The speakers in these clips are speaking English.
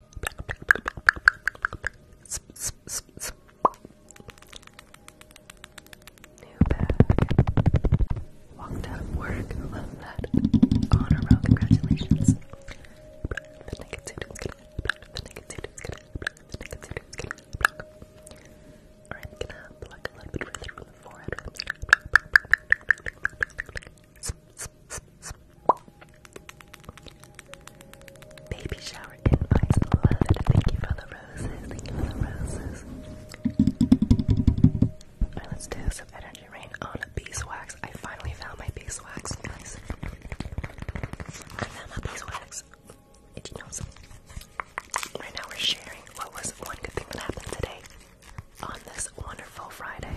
New bag. Walked out of work. Love that. On a roll. Congratulations. The negativity is going The negativity is going The negativity is going Alright, gonna block a little bit further from the forehead. Baby shower invites beloved. Thank you for the roses. Thank you for the roses. Alright, let's do some energy rain on beeswax. I finally found my beeswax, guys. I found my beeswax. Did you know Right now we're sharing what was one good thing that happened today on this wonderful Friday.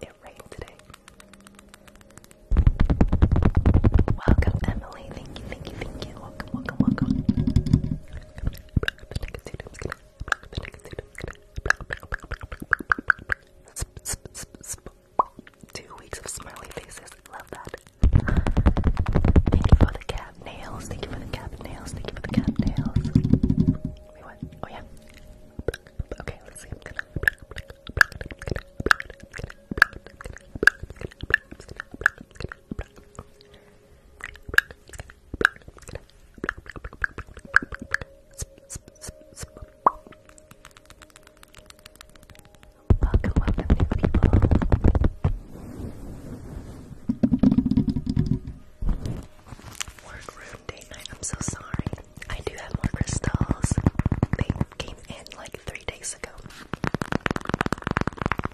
it rained today. Welcome, Emily. Thank you, thank you, thank you. Welcome, welcome, welcome. Two weeks of smiley faces. Love that. Thank you for the cat nails. Thank you for the cat nails. Thank you for the cat nails. Wait, what? Oh, yeah. Okay, Welcome, welcome new people. Work date night. I'm so sorry. I do have more crystals. They came in like three days ago.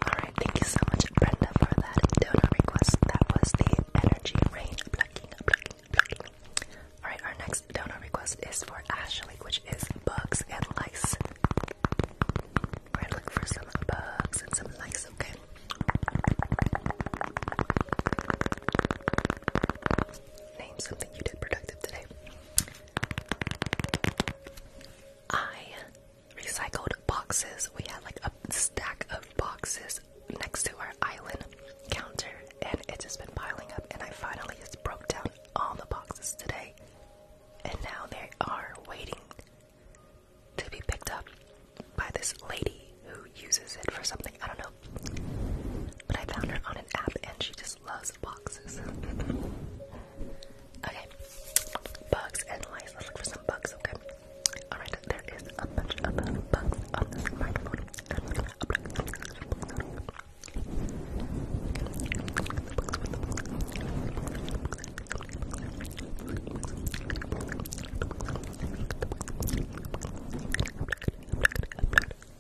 Alright, thank you so much, Brenda, for that donor request. That was the energy rain plucking, plucking, plucking. Alright, our next donor request is for Ashley, which is bugs and lice. we look for some bugs and some lice, okay? Name something you did productive today. I recycled boxes. We had like a stack of boxes next to our island counter, and it's just been piling up. And I finally just broke down all the boxes today, and now they are waiting to be picked up by this lady who uses it for something. I don't know but I found her on an app and she just loves boxes. okay. Bugs and lice. Let's look for some bugs, okay? Alright, there is a bunch of bugs on this microphone. Thank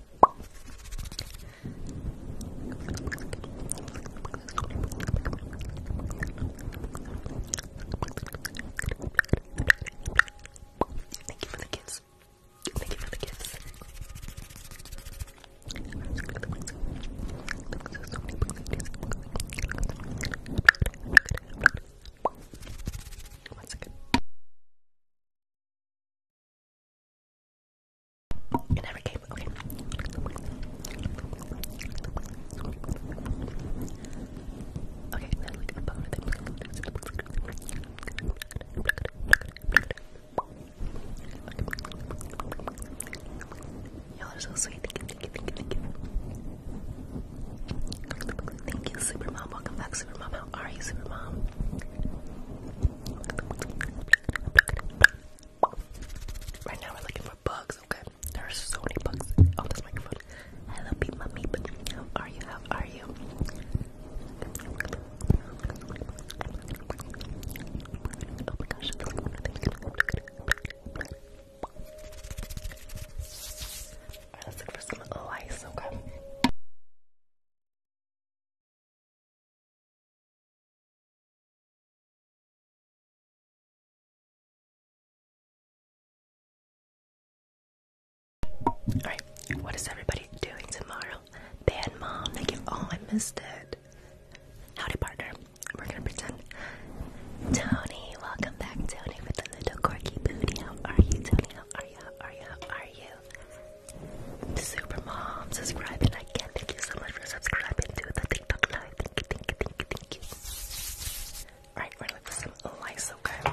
you for the gifts. Thank you for the gifts. One second. It never came. Okay. Okay, Y'all are so sweet. Thank you, thank you, thank you, thank you. Thank you, Supermom. Welcome back, Supermom. How are you, Supermom? Right now we're looking for bugs, okay? There are so many bugs oh, this microphone. Hello, beep mummy. meep. How are you? How are you? Oh my gosh. Alright, let's look for some lice, okay? Alright, what is everybody doing tomorrow? Bad mom, thank you. Oh, I missed it. Howdy, partner. We're gonna pretend. Tony, welcome back, Tony, with the little quirky booty. How are you, Tony? How are you? are you? are you? Super Supermom, subscribe and not Thank you so much for subscribing to the TikTok life. Thank you, thank you, thank you, thank you. Alright, we for some lice, okay?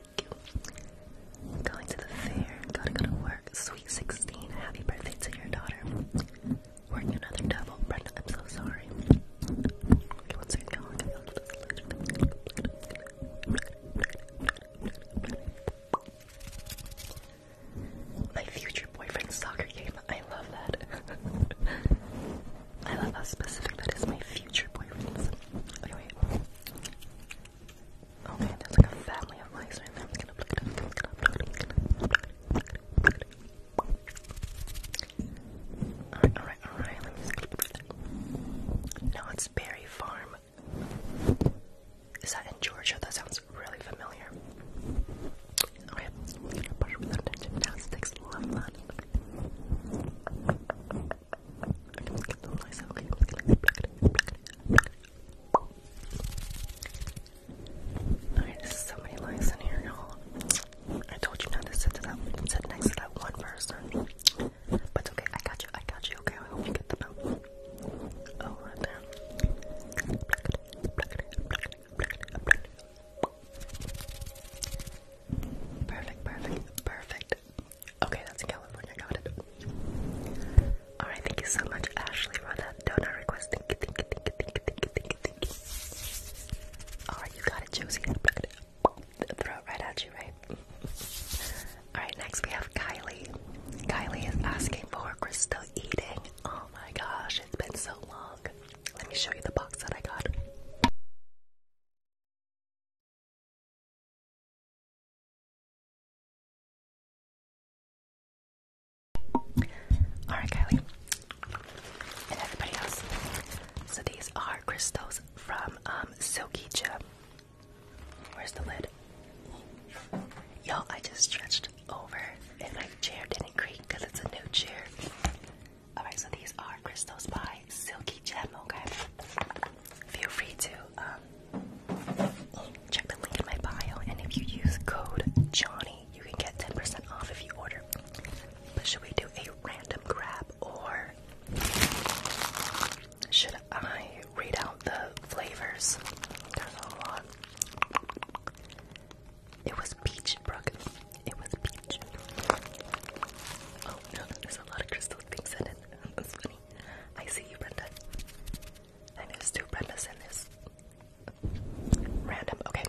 Going to the fair. Gotta go to work. Sweet 16. Happy birthday to your daughter. Weren't you another devil? I'm so sorry. My future boyfriend's soccer game. I love that. I love how specific that is. My future boyfriend's. Oh there's like a family of mice right there. Alright, alright, alright, No, it's Berry Farm. Is that in Georgia? That sounds really familiar. Okay, now. Sticks love that. Alright, this so many lines in here, y'all. I told you not to sit next to that one person. But it's okay, I got you, I got you, okay. I hope you get the note. Oh, right Perfect, perfect, perfect, Okay, that's in California. Got it. Alright, thank you so much, Ashley, donut request. Alright, you got it, Josie. I'm gonna throw it right at you, right? Alright, next we have Kylie. Kylie is asking for crystal eating. Oh my gosh, it's been so long. Let me show you the box that I got. Alright, Kylie. And everybody else. So these are crystals from um, Silky Chip. Where's the lid? Y'all, I just stretched over and my chair didn't creak it's a new chair. Alright, so these are crystals by Silky Gem, okay? feel free to um, check the link in my bio. And if you use code Johnny, you can get 10% off if you order. But should we do a random grab or should I read out the flavors? There's a lot. It was peach, Brooke. It was peach. Oh no, there's a lot of crystal things in it. That's funny. I see you, Brenda. I know it's two Brendas in this. Random. Okay.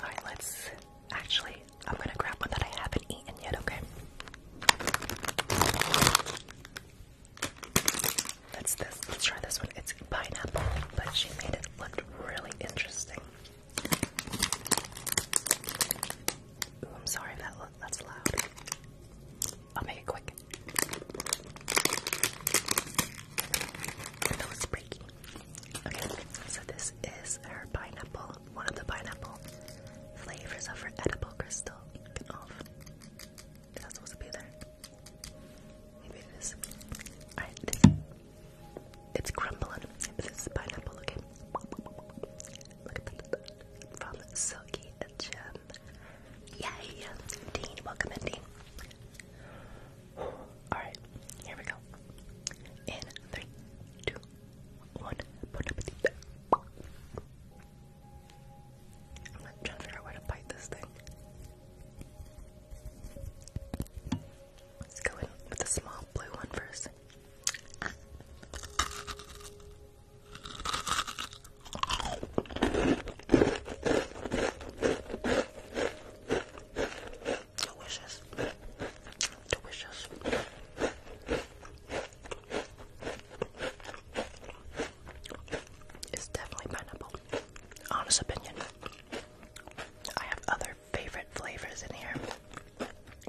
Alright, let's. Actually, I'm gonna grab one that I haven't eaten yet, okay? That's this. Let's try this one. It's pineapple, but she made it look really interesting. I'm sorry if that that's loud. I'll make it quick. That was breaky. Okay, so this is her pineapple, one of the pineapple flavors of her edible crystal. Off. Is supposed to be there? Maybe it is. Alright, it's, it's crumbling. This is pineapple, okay? From Silky and Gem. Yay! Dean, welcome in, Dean. Alright, here we go. In three, two, one, bon appetit. I'm not trying to figure out where to bite this thing. Let's go in with the small blue one first. Delicious. Delicious. It's definitely pineapple. Honest opinion. I have other favorite flavors in here.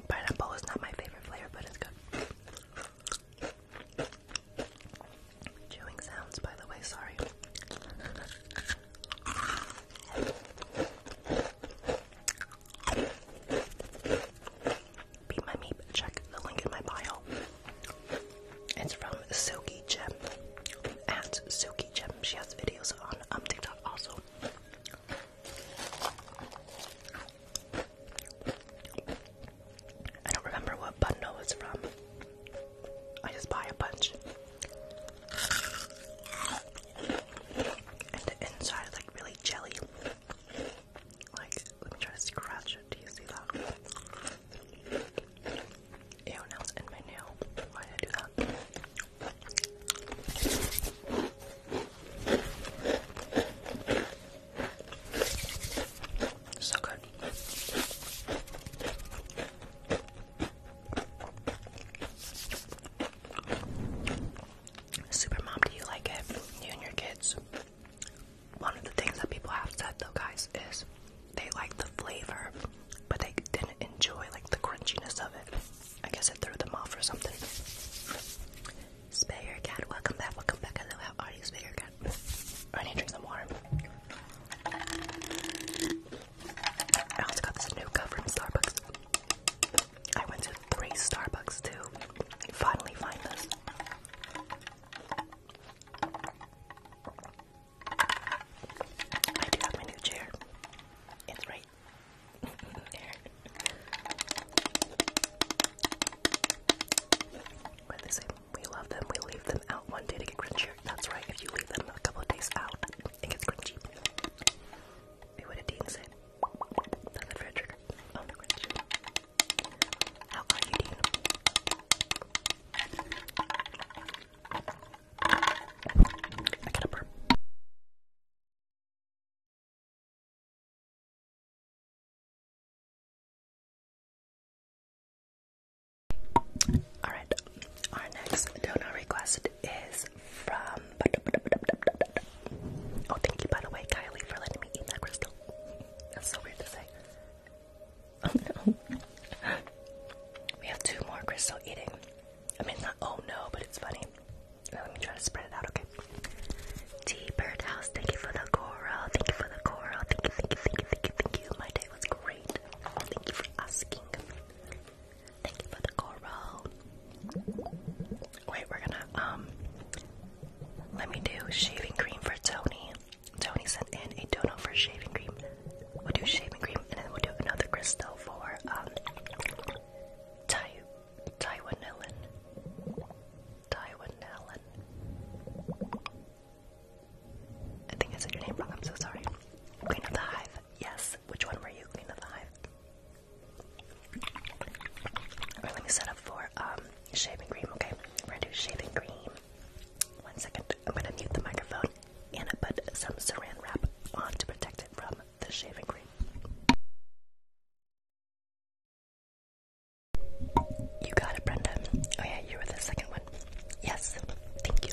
Pineapple is not my favorite flavor, but it's good. Chewing sounds, by the way, sorry. Beat my meat, check the link in my bio. It's from Suki Gem. At Suki Gem. She has videos on um, TikTok also. I don't remember what bundle it's from. I just buy a bunch. And the inside is like really jelly. Like, let me try to scratch Do you see that? Ew, now in my nail. Why did I do that? So good. Super mom, do you like it? You and your kids. One of the things that people have said though, guys, is they like the flavor, but they didn't enjoy like the crunchiness of it. I guess it threw them off or something. Spay your cat. Welcome back. Welcome back. Hello. How are you? Spay your cat. I need to drink some water. I also got this new cup from Starbucks. I went to three Starbucks too. finally find this. I do have my new chair. It's right they say we love them, we leave them out one day to get crunchier. That's right, if you leave them a couple of days out, it gets crunchy. Wait, what did Dean say? That's a fair How are you, Dean? I got a burp. Alright, our next donor request is from. Oh, thank you, by the way, Kylie, for letting me eat that crystal. That's so weird to say. Oh no. We have two more crystal eating. I mean, not oh no, but it's funny. Now let me try to spread it out, okay? T Birdhouse, thank you for the coral. Thank you for the coral. Thank you, thank you, thank you, thank you, thank you. My day was great. Thank you for asking. Thank you for the coral. Wait, we're gonna um let me do shaving cream for Tony. Tony sent in a donut for shaving cream. We'll do shaving cream and then we'll do another crystal for um Tayu. Tywin Allen. Tywin Allen. I think I said your name wrong, I'm so sorry. Queen of the Hive. Yes. Which one were you? Queen of the Hive. Or let me set up for um shaving cream, okay? We're gonna do shaving cream. One second. I'm gonna mute the microphone and I put some saran wrap on to protect it from the shaving cream. You got it, Brenda. Oh yeah, you were the second one. Yes, thank you.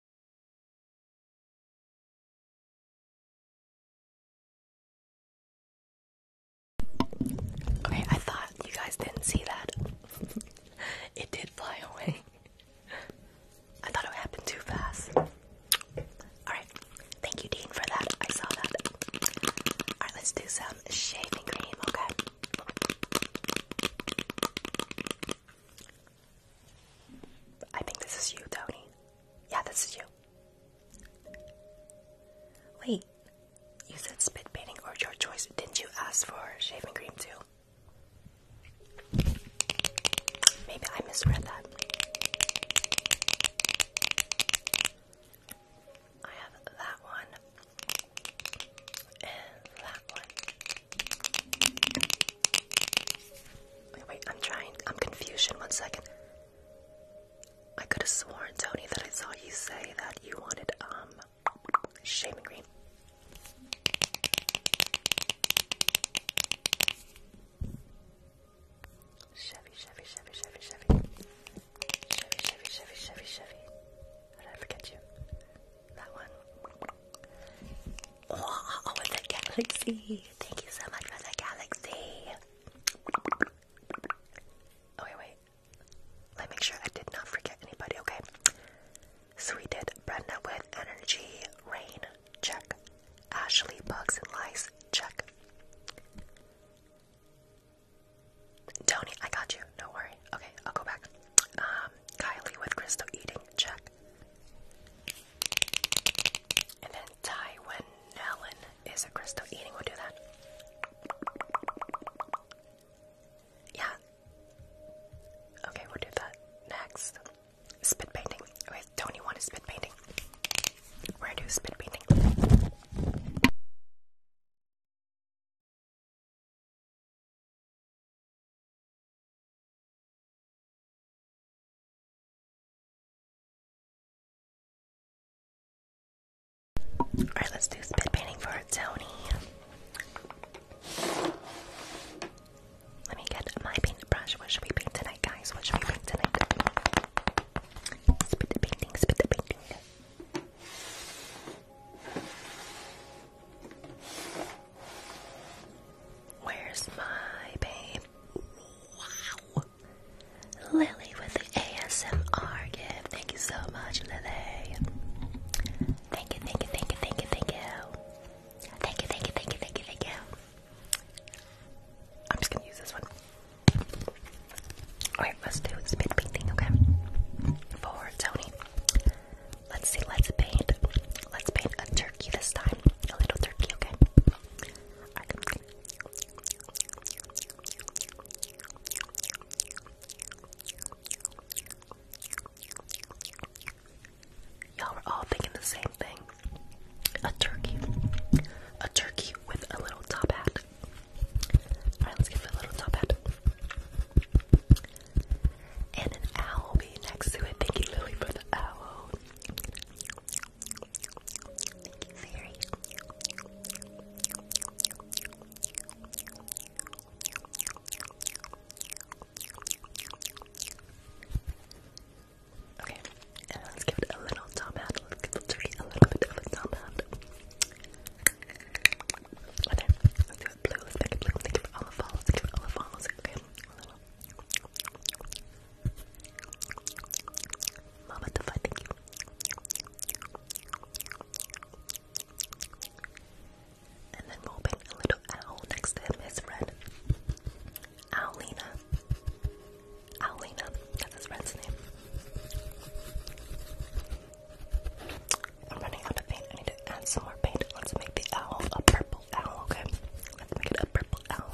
Okay, I thought you guys didn't see that. it did fly away. I thought it happened too fast. Alright, thank you, Dean, for that. I saw that. Alright, let's do some shaving cream, okay? I think this is you, Tony. Yeah, this is you. Wait, you said spit painting or your choice. Didn't you ask for shaving cream too? Maybe I misread that. I have that one and that one. Wait, I'm trying. I'm confusion. One second. I could have sworn, Tony, that I saw you say that you wanted um shaman me. Chevy, Chevy, Chevy, Chevy, Chevy. Chevy, Chevy, Chevy, Chevy, Chevy. How did I forget you? That one. Oh, oh, galaxy. Thank you so much for the galaxy. Oh, wait, wait. Let me make sure I did not forget anybody, okay? So we did Brenda with Energy, Rain, check. Ashley, Bugs and Lice, check. Tony, I got you. do worry. Okay, I'll go back. Um, Kylie with Crystal eating, check. And then Taiwanellin is a crystal. Eating will do that. Yeah. Okay, we'll do that next. Spit painting. Wait, Tony wanted spit painting. We're gonna do spit painting. Alright, let's do spit painting for Tony. Let me get my paintbrush. What should we paint tonight, guys? What should we paint tonight? Spit the painting, spit the painting. Where's my babe? Wow. Lily with the ASMR gift. Thank you so much, Lily. Thank you, thank you, thank you, thank you, thank you. Thank you, thank you, thank you, thank you, thank you. I'm just gonna use this one. Alright, let's do spin painting, okay? For Tony. Let's see, let's paint. Let's paint a turkey this time. A little turkey, okay? Y'all were all thinking the same thing. A turkey. A turkey with a little top hat. Alright, let's give it a little top hat. And an owl being next to it. Thank you, for the owl. Thank you, fairy. Okay, let's give it a little top hat. Let's give the turkey a little bit of a top hat. Okay, let's give it a little. Mama the you. And then we'll paint a little owl next to him, his red. Owlina. Owlina, that's his red's name. I'm running out of paint. I need to add some more paint. Let's make the owl a purple owl, okay? Let's make it a purple owl.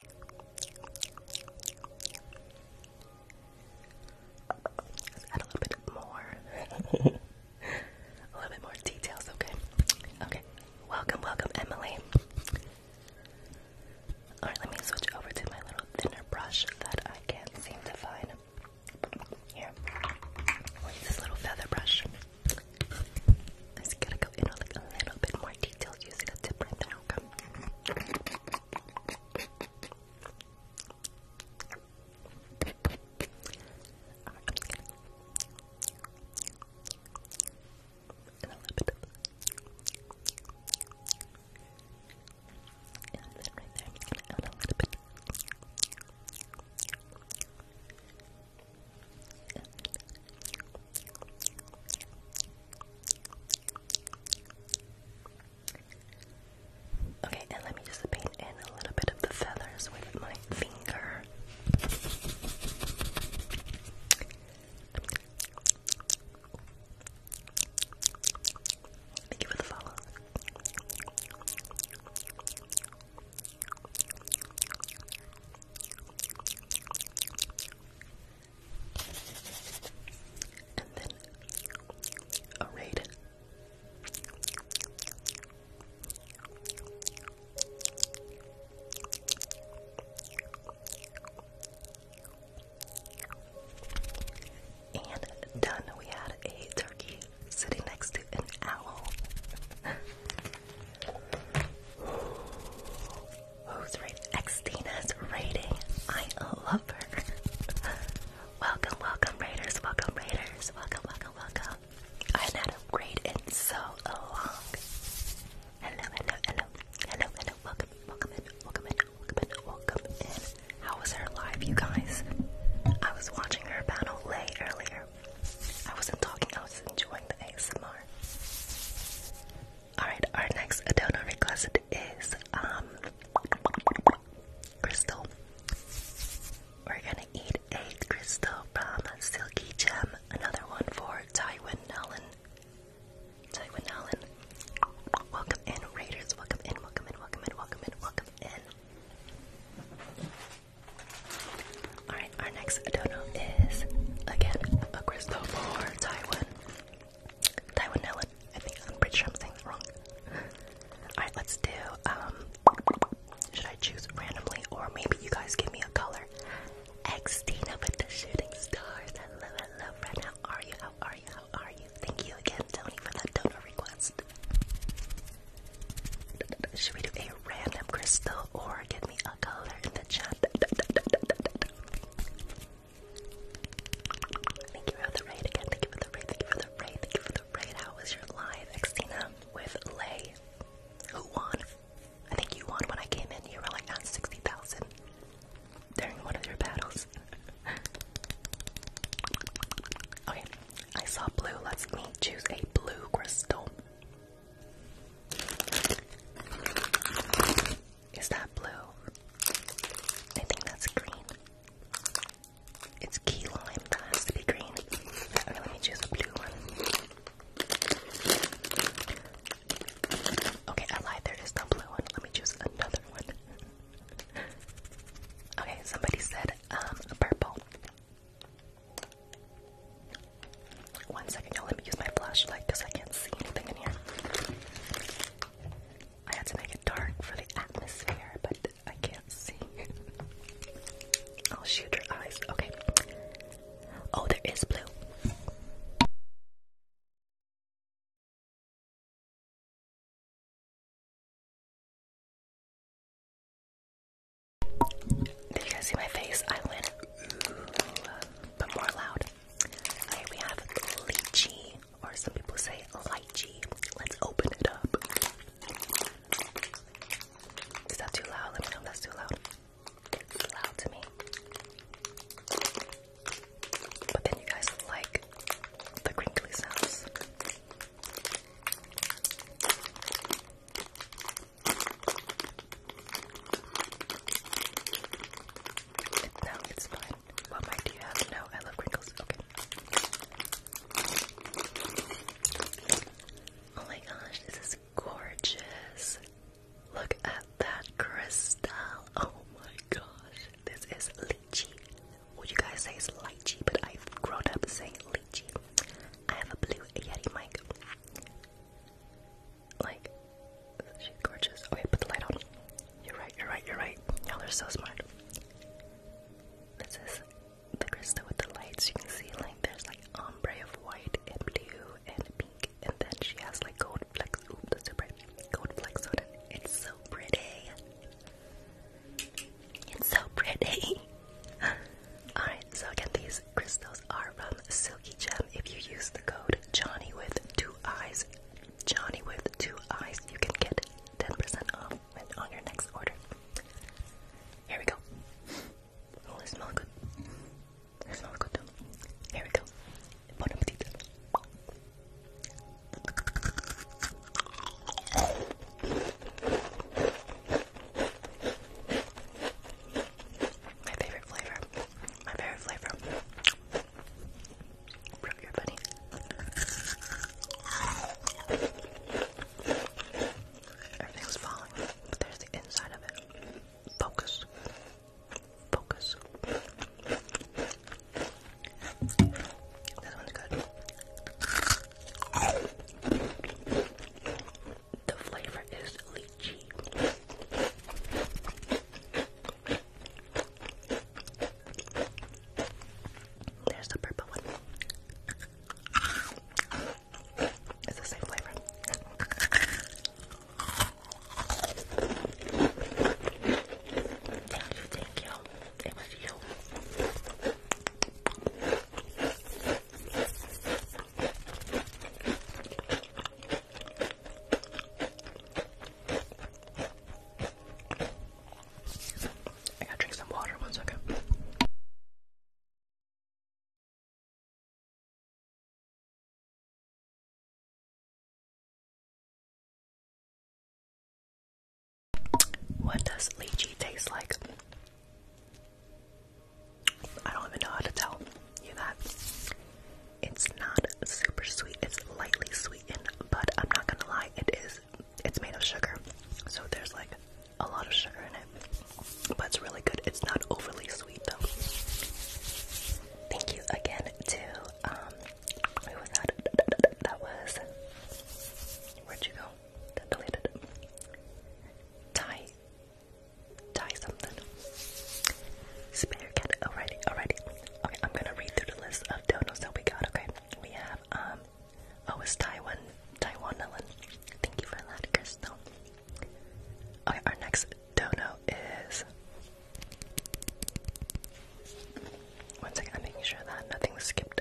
Let's add a little bit more. a little bit more details, okay? Okay. Welcome, welcome, Emily. Alright, let me switch over to my little thinner brush that I can't seem to find. Here. this little feather brush. I'm gonna go in like a little bit more i using a different outcome. And a little bit of and then right there, I'm gonna add a little bit. Okay, and let me just paint in a little bit of the feathers with my finger. Thank you for the follow. And then a raid. And done. We had a turkey sitting next to an owl. Who's rating? Xtina's rating. I love her. welcome, welcome, Raiders. Welcome, Raiders. Welcome, welcome, welcome. I haven't had a raid in so long. Hello, hello, hello. Hello, hello. Welcome, welcome in, welcome in, welcome in, welcome in. How was her live, you guys? I was watching her battle lay earlier. I wasn't talking, I was enjoying the ASMR. Alright, our next donor request is um Crystal. We're gonna eat a crystal from Silky Gem, another one for Tywin Nolan. Tywin Nolan. Welcome in, Raiders. Welcome in, welcome in, welcome in, welcome in, welcome in. Alright, our next dono is again a crystal for Tywin. Tywin I think I'm pretty sure I'm saying that wrong. Alright, let's do um should I choose randomly or maybe you guys give me a color? Xtina with the shooting stars. I love I love right now. Are you? How are you? How are you? Thank you again, Tony, for that donor request. Should we do a random crystal or give me a color in the chat? Thank you for the raid again. Thank you for the raid. Thank you for the raid. Thank you for the raid. How was your live, Xena, with Lay? Who won? I think you won when I came in. You were like at 60,000 during one of your battles. okay, I saw blue. Let's me choose a blue crystal. Is that blue? I think that's green. It's key lime that has to be green. let me choose a blue one. Okay, I There is no blue one. Let me choose another one. okay, somebody said um purple. One Let me use my flashlight because I can't see anything in here. I had to make it dark for the atmosphere, but I can't see. I'll shoot your eyes. Okay. Oh, there is blue. Did you guys see my face? I went but more loud. Here we have lychee, or some people say lychee. Let's open it up. Is that too loud? Let me know that's too loud. It's loud to me. But then you guys like the crinkly sounds no, it's fine. What mic do you have? No, I love crinkles. Okay. Oh my gosh, this is gorgeous. Look at that crystal. Oh my gosh. This is lychee. What you guys say is lychee, but I've grown up saying lychee. I have a blue Yeti mic. Like, she's gorgeous. Okay, put the light on. You're right, you're right, you're right. Y'all are so smart. This is the crystal with the lights. You can see, like, there's like ombre of white and blue and pink, and then she has like gold flecks. Ooh, that's so bright. Gold flecks on it. It's so pretty. It's so pretty. Alright, so again, these crystals are from Silky Gem. If you use the code Johnny with two eyes, Johnny with two eyes. You can get 10% off on your next order. Here we go. Oh, it smells good. smells good too. Here we go. Bon appetit. My favorite flavor. My favorite flavor. From your buddy. Everything's falling, there's the inside of it. Focus. Focus. This one's good. The flavor is lychee. There's the purple one. It's the same flavor. Thank you, thank you. I gotta drink some water, one second. What does lychee taste like? I don't even know how to tell you that. It's not super sweet. It's lightly sweetened, but I'm not gonna lie, it is. It's made of sugar, so there's like a lot of sugar in it, but it's really good. It's not overly sweet though. Thank you again to um, that? was where'd you go? deleted. Tie, tie something. Spare cat. already, already. Okay, I'm gonna read through the list of donuts that we got. Okay, we have um, oh, it's Taiwan, Taiwan Ellen. Thank you for that, Crystal. Okay, our next donut is. One second, I'm making sure that nothing was skipped.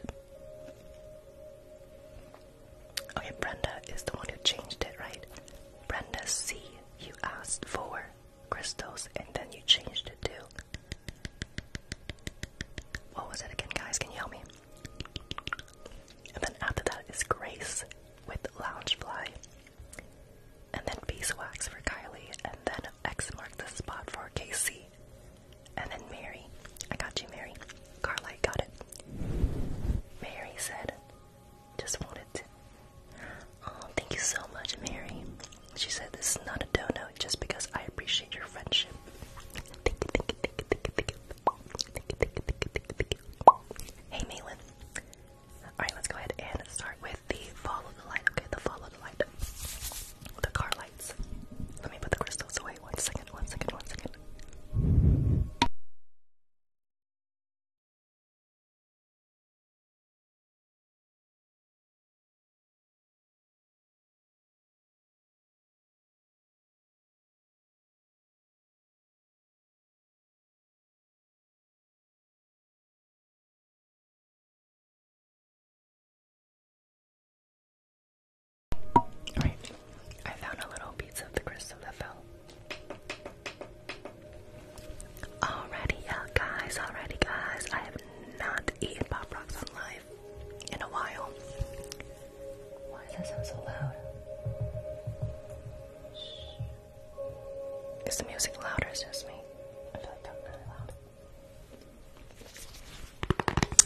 Okay, Brenda is the one who changed it, right? Brenda C, you asked for crystals and then you changed it to. What was it again, guys? Can you help me? And then after that is Grace with Loungefly. And then Beeswax for Kylie. And then X marked the spot for KC. And then Mary. I got you, Mary. Carly got it. Mary said, just wanted Oh, thank you so much, Mary. She said this is not a donut. just because I appreciate your friendship. Hey, Malin. Alright, let's go ahead and start with the follow the light. Okay, the follow the light. The car lights. Let me put the crystals away. One second, one second, one second. Alright, I found a little piece of the crystal that fell. Alrighty, guys, alrighty, guys. I have not eaten Pop Rocks on life in a while. Why does that sound so loud? Is the music louder? or is just me? I feel like that's really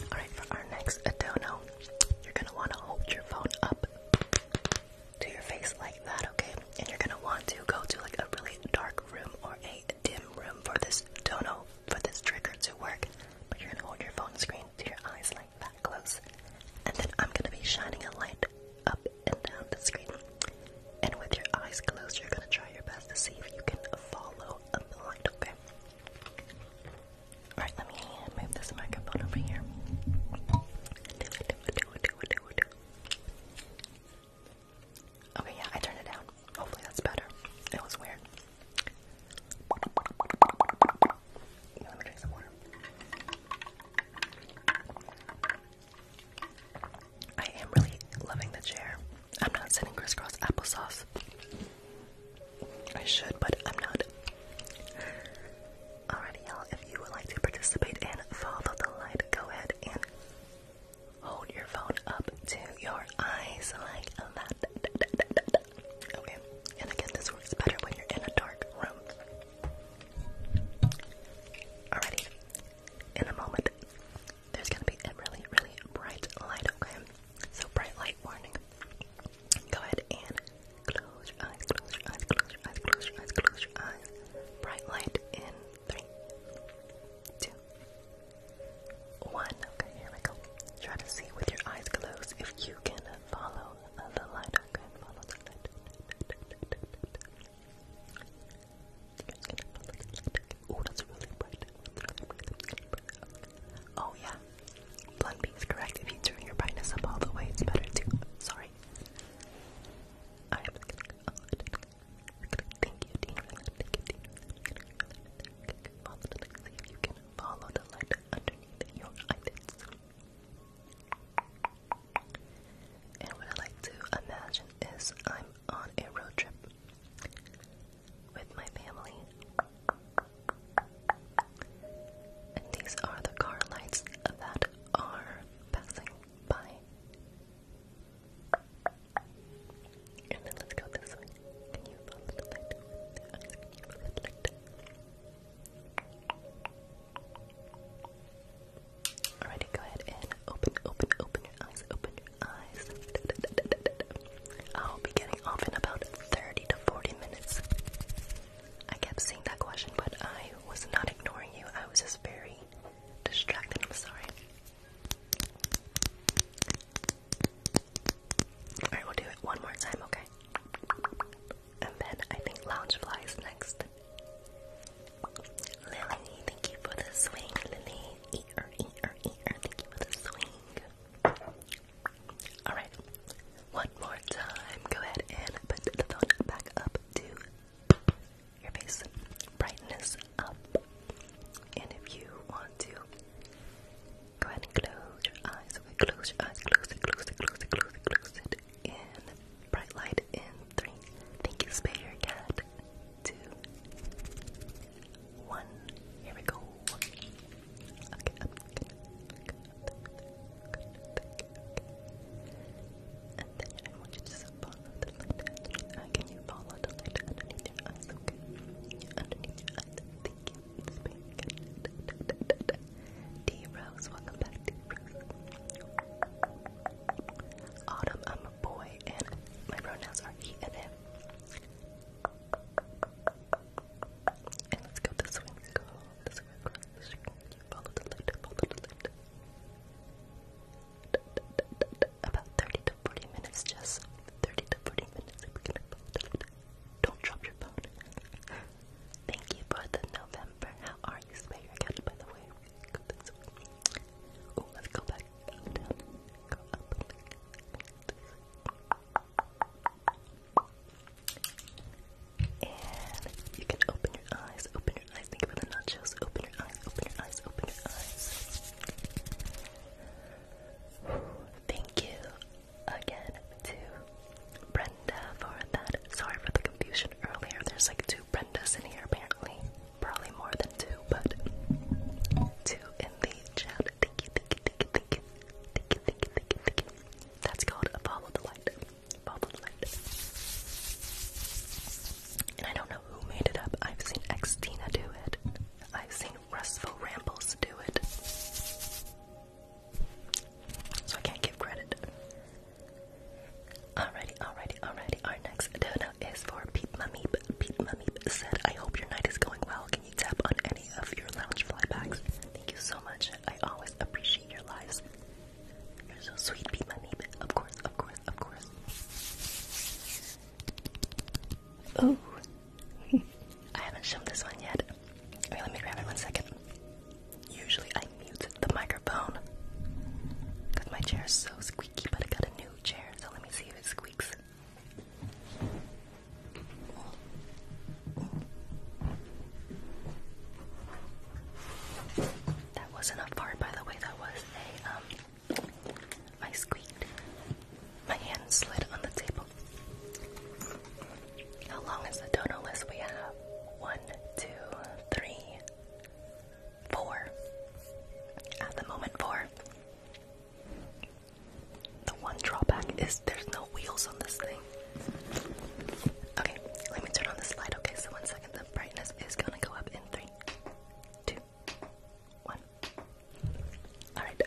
loud. Alright, for our next Adono, you're gonna wanna hold your phone up to your face like that, okay? And you're gonna want to go to like a really dark room or a dim room for this don't know for this trigger to work, but you're gonna hold your phone screen to your eyes like that close. And then I'm gonna be shining a light up and down the screen. And with your eyes closed, you're gonna try your best to see if you can follow a light, okay? Alright, let me move this microphone over here. Okay, yeah, I turned it down. Hopefully that's better. It was weird. I am really loving the chair. I'm not sitting crisscross applesauce. I should, but I'm not. Alrighty, y'all. If you would like to participate and follow the light, go ahead and hold your phone up to your eyes like that. Okay, and again, this works better when you're in a dark room. Alrighty, in a moment, there's gonna be a really, really bright light, okay? So, bright light warning. Go ahead and close your eyes, close your eyes, close your eyes, close your eyes, close your eyes. Bright light in three, two, one. Okay, here we go. Try to see with your eyes closed if you can follow the light. Okay, follow the light. Oh, that's really bright. Oh yeah, Blunt B is If you turn your brightness up all the way, it's better too. Sorry. Thank you, Dean Ryland. Thank you, Dean Ryland. Follow the light. See if you can follow the light underneath your eyelids. And what I like to imagine is I'm on a road trip with my family. And these are the car lights that are passing by. Alrighty, go ahead and open, open, open your eyes, open your eyes. I'll be getting off in about 30 to 40 minutes. I kept seeing that question, but I was not ignoring you. I was just very distracted. I'm sorry. Alright, we'll do it one more time, okay? And then I think Loungefly is next. Lily, thank you for the swing. Lily, eat her, eat her, eat her. Thank you for the swing. Alright, one more time. Go ahead and put the phone back up to your face brightness up. And if you want to, go ahead and close your eyes. close your eyes, close it, close it, close it, close it, close it. And bright light in three. Thank you, spare cat. Two, one. Here we go. Okay, the light uh, Can you follow the light underneath your eyes? Okay. Underneath your eyes. Thank you. It's pink. D Rose, welcome back, D Rose. Autumn, I'm a boy, and my pronouns are he and him. And let's go this way. Let's go this way across the street. You follow the light, follow the light. Da, da, da, da, da about 30 to 40 minutes, Jess. 30 to 40 minutes. Don't drop your phone. Thank you for the November. How are you, Spayer? Again, by the way. let's go back. you can open your eyes. Open I think about the nachos. Open your eyes. Open your eyes. Open your eyes. Thank you again to Brenda for that. Sorry for the confusion earlier. There's like two Brendas in here apparently. Probably more than two, but two in the chat. thank you, thank you, thank you. Thank you, thank you, thank you, thank you. That's called Follow the Light. Follow the Light. And I don't know who made it up. I've seen Xtina do it. I've seen Rustful Rambles do it. So I can't give credit. Alrighty, alrighty, alrighty. Our next donut is for Peep Meep. Peep Mummy said, I hope your night is going well. Can you tap on any of your lounge flybacks? Thank you so much. I always appreciate your lives. You're so sweet, Peep Mummy. Of course, of course, of course. Oh, I haven't shown this one yet. Wait, let me grab it one second. Usually I mute the microphone because my chair is so squeaky, but I got a new chair, so let me see if it squeaks. That wasn't a fart, by the way. That was a um I squeaked. My hand slid on the table. How long is the donor list we have? One, two, three, four. At the moment, four. The one drawback is there's no wheels on this thing. Okay, let me turn on the slide. Okay, so one second. The brightness is gonna go up in three, two, one. Alright.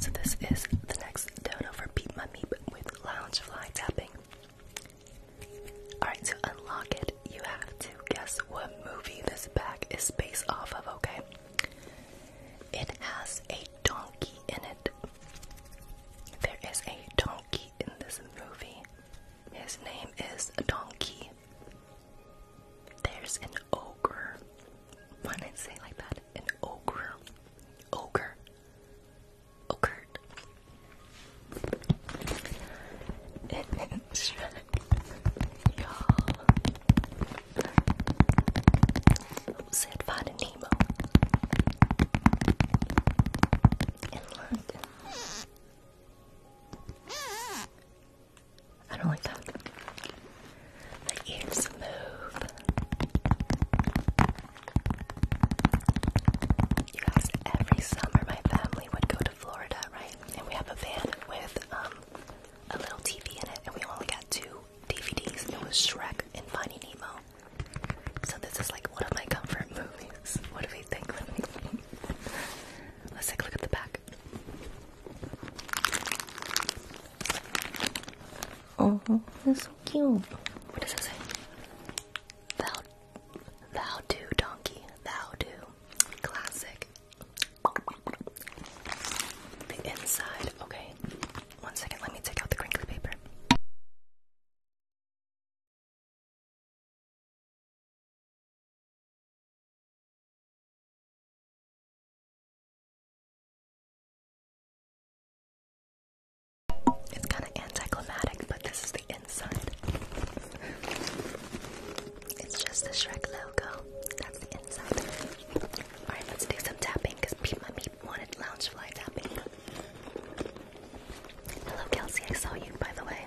So this is the next dono for Beat Mummy Meep with Loungefly tapping. Alright, to unlock it, you have to guess what movie this bag is based off of, okay? It has a donkey in it. There is a donkey in this movie. His name is Donkey. There's an ogre. Why did I say like that? An ogre. Ogre. Ogre. And then Said Finding Nemo. And I don't like that. My ears move. You guys, every summer my family would go to Florida, right? And we have a van with um, a little TV in it, and we only got two DVDs. It was Shrek and Finding Nemo. So this is like one of my comfort movies. What do we think? Let's take a look at the back. Oh, that's so cute. What does it say? Thou, thou do donkey, thou do. Classic. The inside. Okay. One second. Let me take out the crinkly paper. It's kind of anticlimactic, but this is the inside. It's just the Shrek logo. That's the inside. Alright, let's do some tapping because Pete my wanted loungefly tapping. Hello Kelsey, I saw you by the way.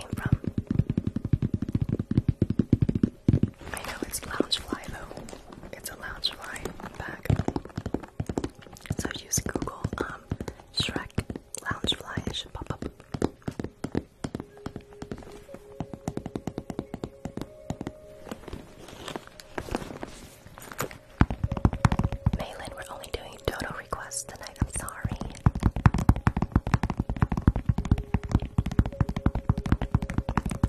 I know it's Loungefly though. It's a Loungefly bag. So just Google um, Shrek Loungefly, should pop up. Malin, we're only doing dodo requests tonight. I'm sorry.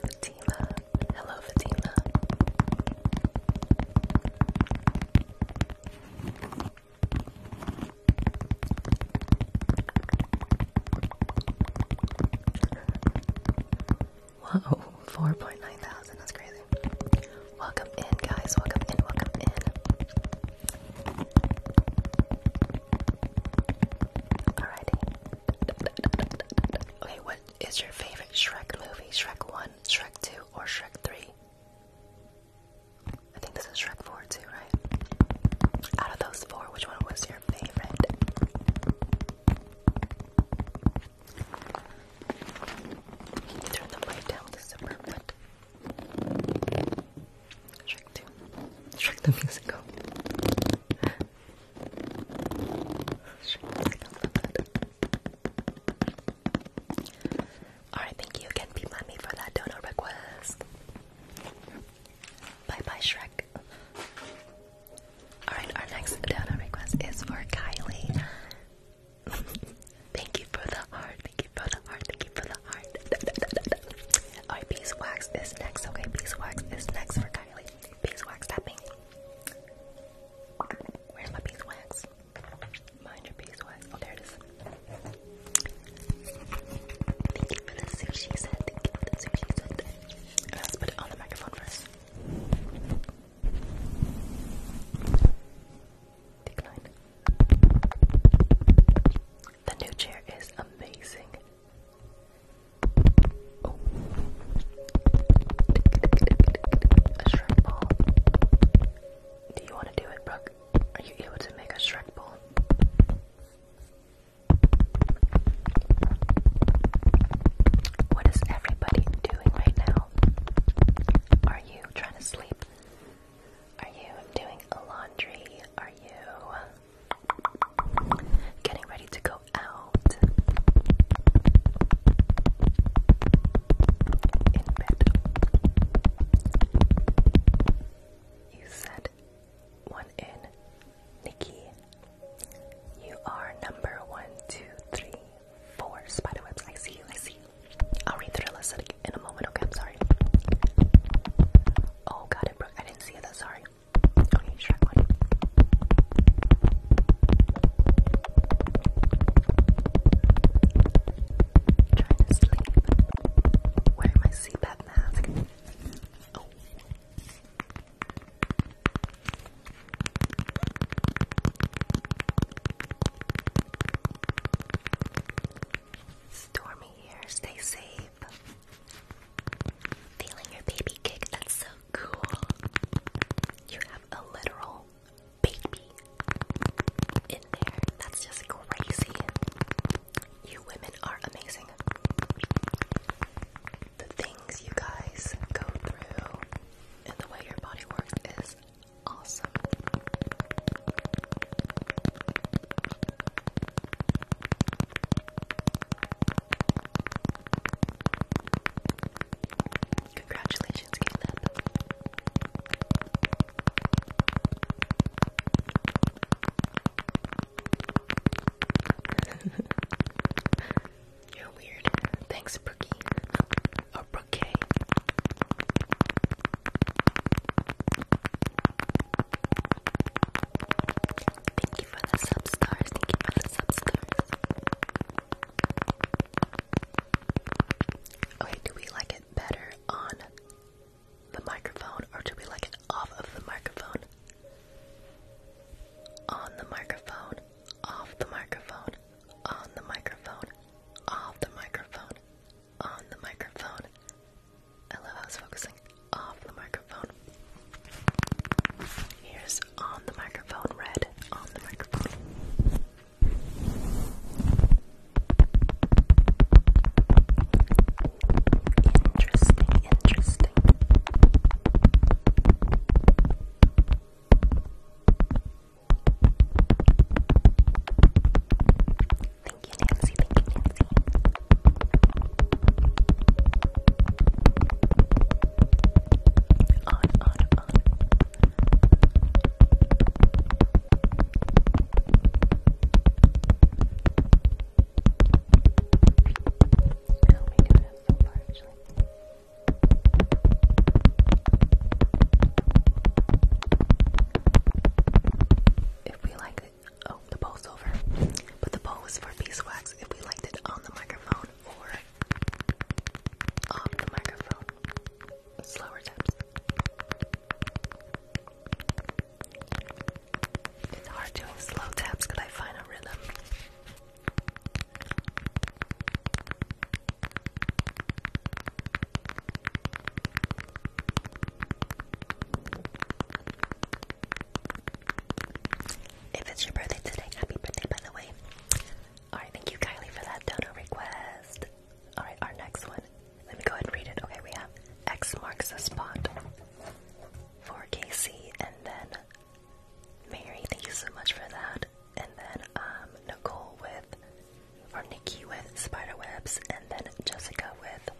Fatima. Hello, Fatima. Whoa, 4.9 thousand, that's crazy. Welcome in, guys. Welcome in, welcome in. Alrighty. Okay, what is your favorite Shrek movie? Shrek 1, Shrek 2, or Shrek 3? I think this is Shrek 4 too, right? Out of those four, which one was your favorite? Turn the light down to super good. Shrek 2. Shrek the musical. Alright, thank you again, for that donor request. Bye bye, Shrek. Alright, our next donor request is for Kylie. thank you for the heart, thank you for the heart for the heart. Alright, beeswax is next. Okay, beeswax is next for Kylie. Beeswax tapping. Where's my beeswax? Mind your beeswax. Oh, there it is. Thank you for the sushi set. Thank you for the sushi set. let's put it on the microphone first. Decline. The new chair is amazing. A Shrek ball. Do you want to do it, Brooke? Are you able to make a Shrek ball? What is everybody doing right now? Are you trying to sleep? Are you doing laundry? Are you Getting ready to go out in bed. You said one in, Nikki. You are number one, two, three, four spiderwebs. I see I see I'll read through the list in a moment. Okay, I'm sorry. Oh, got it, bro. I didn't see that, sorry. trying to sleep. Wearing my CPAP mask. Oh. Stormy here, stay safe. Feeling your baby kick, that's so cool. You have a literal baby in there. That's just crazy. You women are amazing. The things you guys go through and the way your body works is awesome. Congratulations, Caleb. You're weird. Thanks, Brookie. Or oh, Brookie. Thank you for the substars. Thank you for the sub Okay, do we like it better on the microphone or do we like it off of the microphone? On the microphone, off the microphone, on the microphone, off the microphone, on the microphone, I love how it's focusing off the microphone. Here's on the microphone, red on the microphone. Interesting, interesting. Thank you, Nancy. Thank you, Nancy. On, on, on. How am I doing so far, actually? If we like oh, the bowl's over. But the bowl was for beeswax if we liked it on the microphone or off the microphone. Slower taps. It's hard doing slow taps because I find a rhythm. If it's your birthday today, happy birthday, by the way. Alright, thank you, Kylie, for that dono request. Alright, our next one. Let me go ahead and read it. Okay, we have X marks the spot for Casey, and then Mary, thank you so much for that. And then um, Nicole with, or Nikki with spider webs, and then Jessica with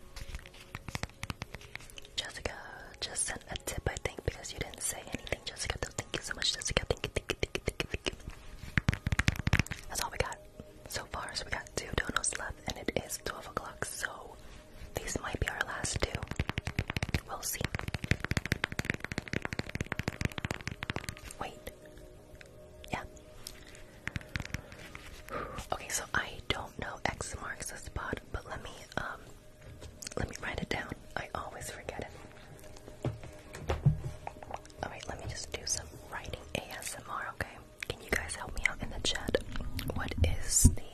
Jessica just sent a tip, I think, because you didn't say anything, Jessica. So thank you so much, Jessica. Thank you, thank you, thank you, thank you, thank you. That's all we got so far. So we got two donuts left, and it is 12 o'clock. So these might be our last two. We'll see. Wait. Yeah. Okay, so I don't do X marks the spot, but let me um, let me write it down. I always forget it. Alright, let me just do some writing ASMR, okay? Can you guys help me out in the chat? What is the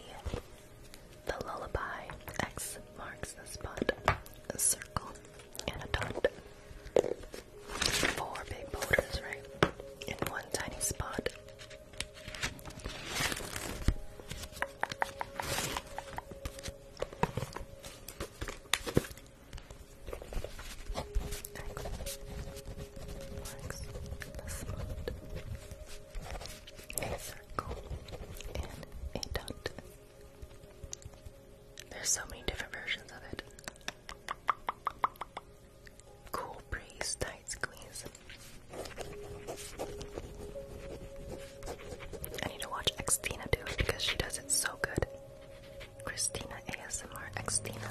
the lullaby? X marks the spot. A circle and a dot. Four big boulders, right? In one tiny spot a circle, and a dot. There's so many different versions of it. Cool breeze, tight squeeze. I need to watch Xtina do it because she does it so good. Christina ASMR Xtina.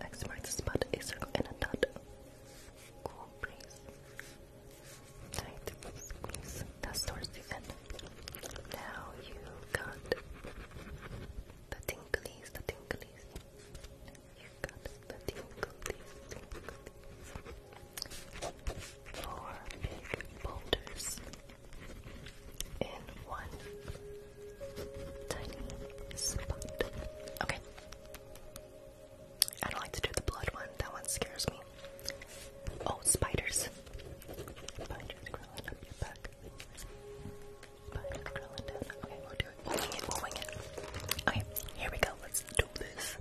X marks the spot, a circle, and a dot. Cool breeze. Tight squeeze. That's towards the end. Now you got the tinklies, the tinklies. You got the difficulties, difficulties. Four big boulders in one tiny spot. Okay. I don't like to do the blood one. That one scares me. Oh, spiders. Spiders crawling up your back. Spiders crawling down. Okay, we'll do here. it, we it. Okay, here we go. Let's do this.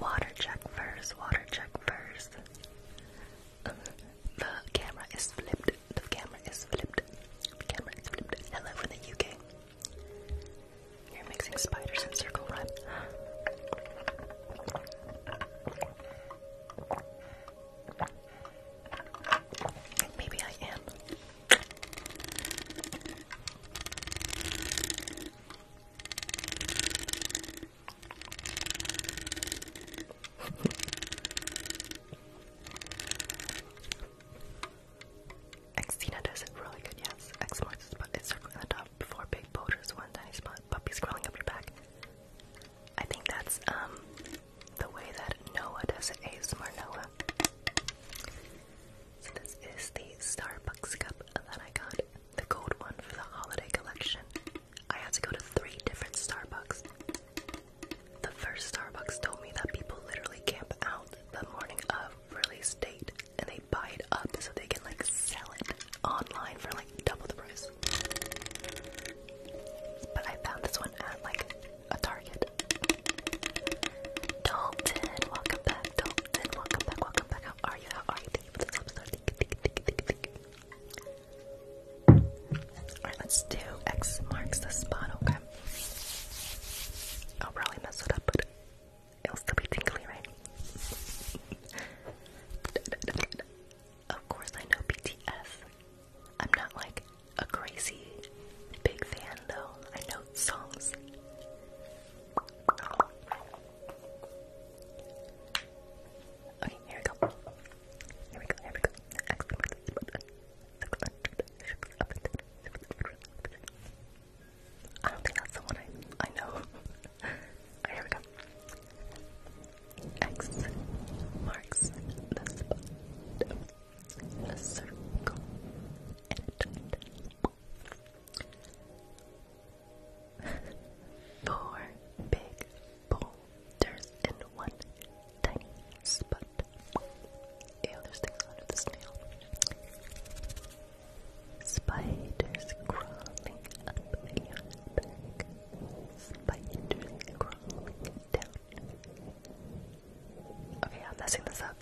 Water check first, water check first. the camera is flipped. The camera is flipped. camera is flipped. Hello from the UK. You're mixing spiders and circle run. Maybe I am. Xena does it really good, yes. X marks the spot. It's circling the top. Four big boulders, one tiny spot. Puppy crawling up your back. I think that's um the way that Noah does it. ASMR Noah. So this is the Starbucks cup that I got, the gold one for the holiday collection. I had to go to three different Starbucks. The first Starbucks told me that people literally camp out the morning of release date and they buy it up so they can like sell it online for like double the price. But I found this one at like a target. Dalton, welcome back. Dalton, welcome back. Welcome back. How are you? How are you? Alright, let's do X marks the spot. Okay. I'll probably mess it up, but it'll still be tingly, right? of course, I know BTS. I'm not like a crazy big fan, though. I know songs. Okay, here we go. Here we go. Here we go. I don't think that's the one I I know. here we go. X marks the spot a circle, Four big boulders and one tiny spot. Ew, there's things under the snail. Spiders crawling up Leon's back. Spiders crawling down. Okay, I'm messing this up.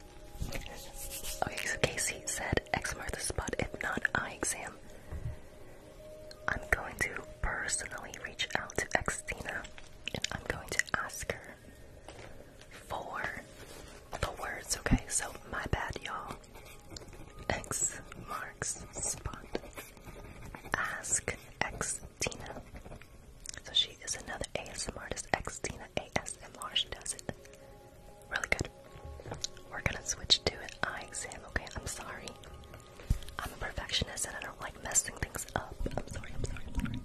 Okay, so Casey said X marks the spot, if not eye exam. I'm going to personally reach out to X and I'm going to ask her for the words, okay? So, my bad, y'all. X marks spot. Ask X Xtina. So, she is another ASM artist, X Xtina. ASMR. She does it really good. We're gonna switch to an eye exam, okay? I'm sorry. I'm a perfectionist and I don't like messing things up. I'm sorry, I'm sorry, I'm sorry.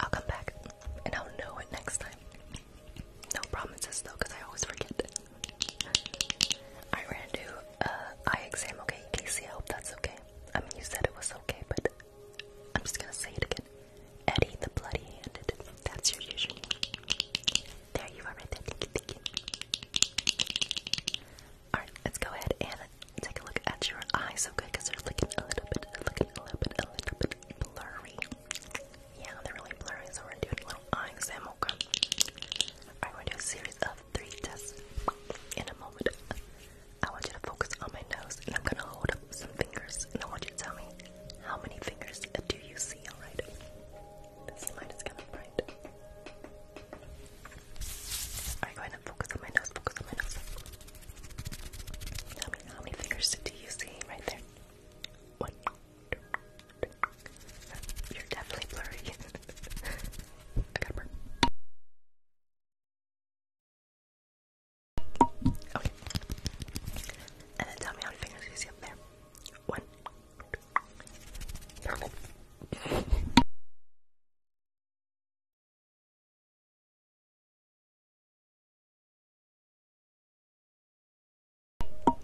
I'll come back and I'll know it next time. No promises though, because I always forget. I ran to uh, eye exam, okay, Casey. I hope that's okay. I mean, you said it was okay, but I'm just gonna say it again. Eddie the Bloody Handed. That's your username. There you are, right there. Thank you, thank you. Alright, let's go ahead and take a look at your eyes, okay? Because they're looking a little bit, looking a little bit, a little bit blurry. Yeah, they're really blurry, so we're going a little eye exam, okay? Alright, we gonna do a series of three tests in a moment. I want you to focus on my nose, and I'm gonna hold up some fingers, and I want you to tell me how many fingers do you see, alright? This light is kind of bright. Alright, go ahead and focus on my nose, focus on my nose. Tell me how many fingers do you see right there? One, you're definitely blurry. I gotta burn. Okay. And then tell me how many fingers you see up there. One.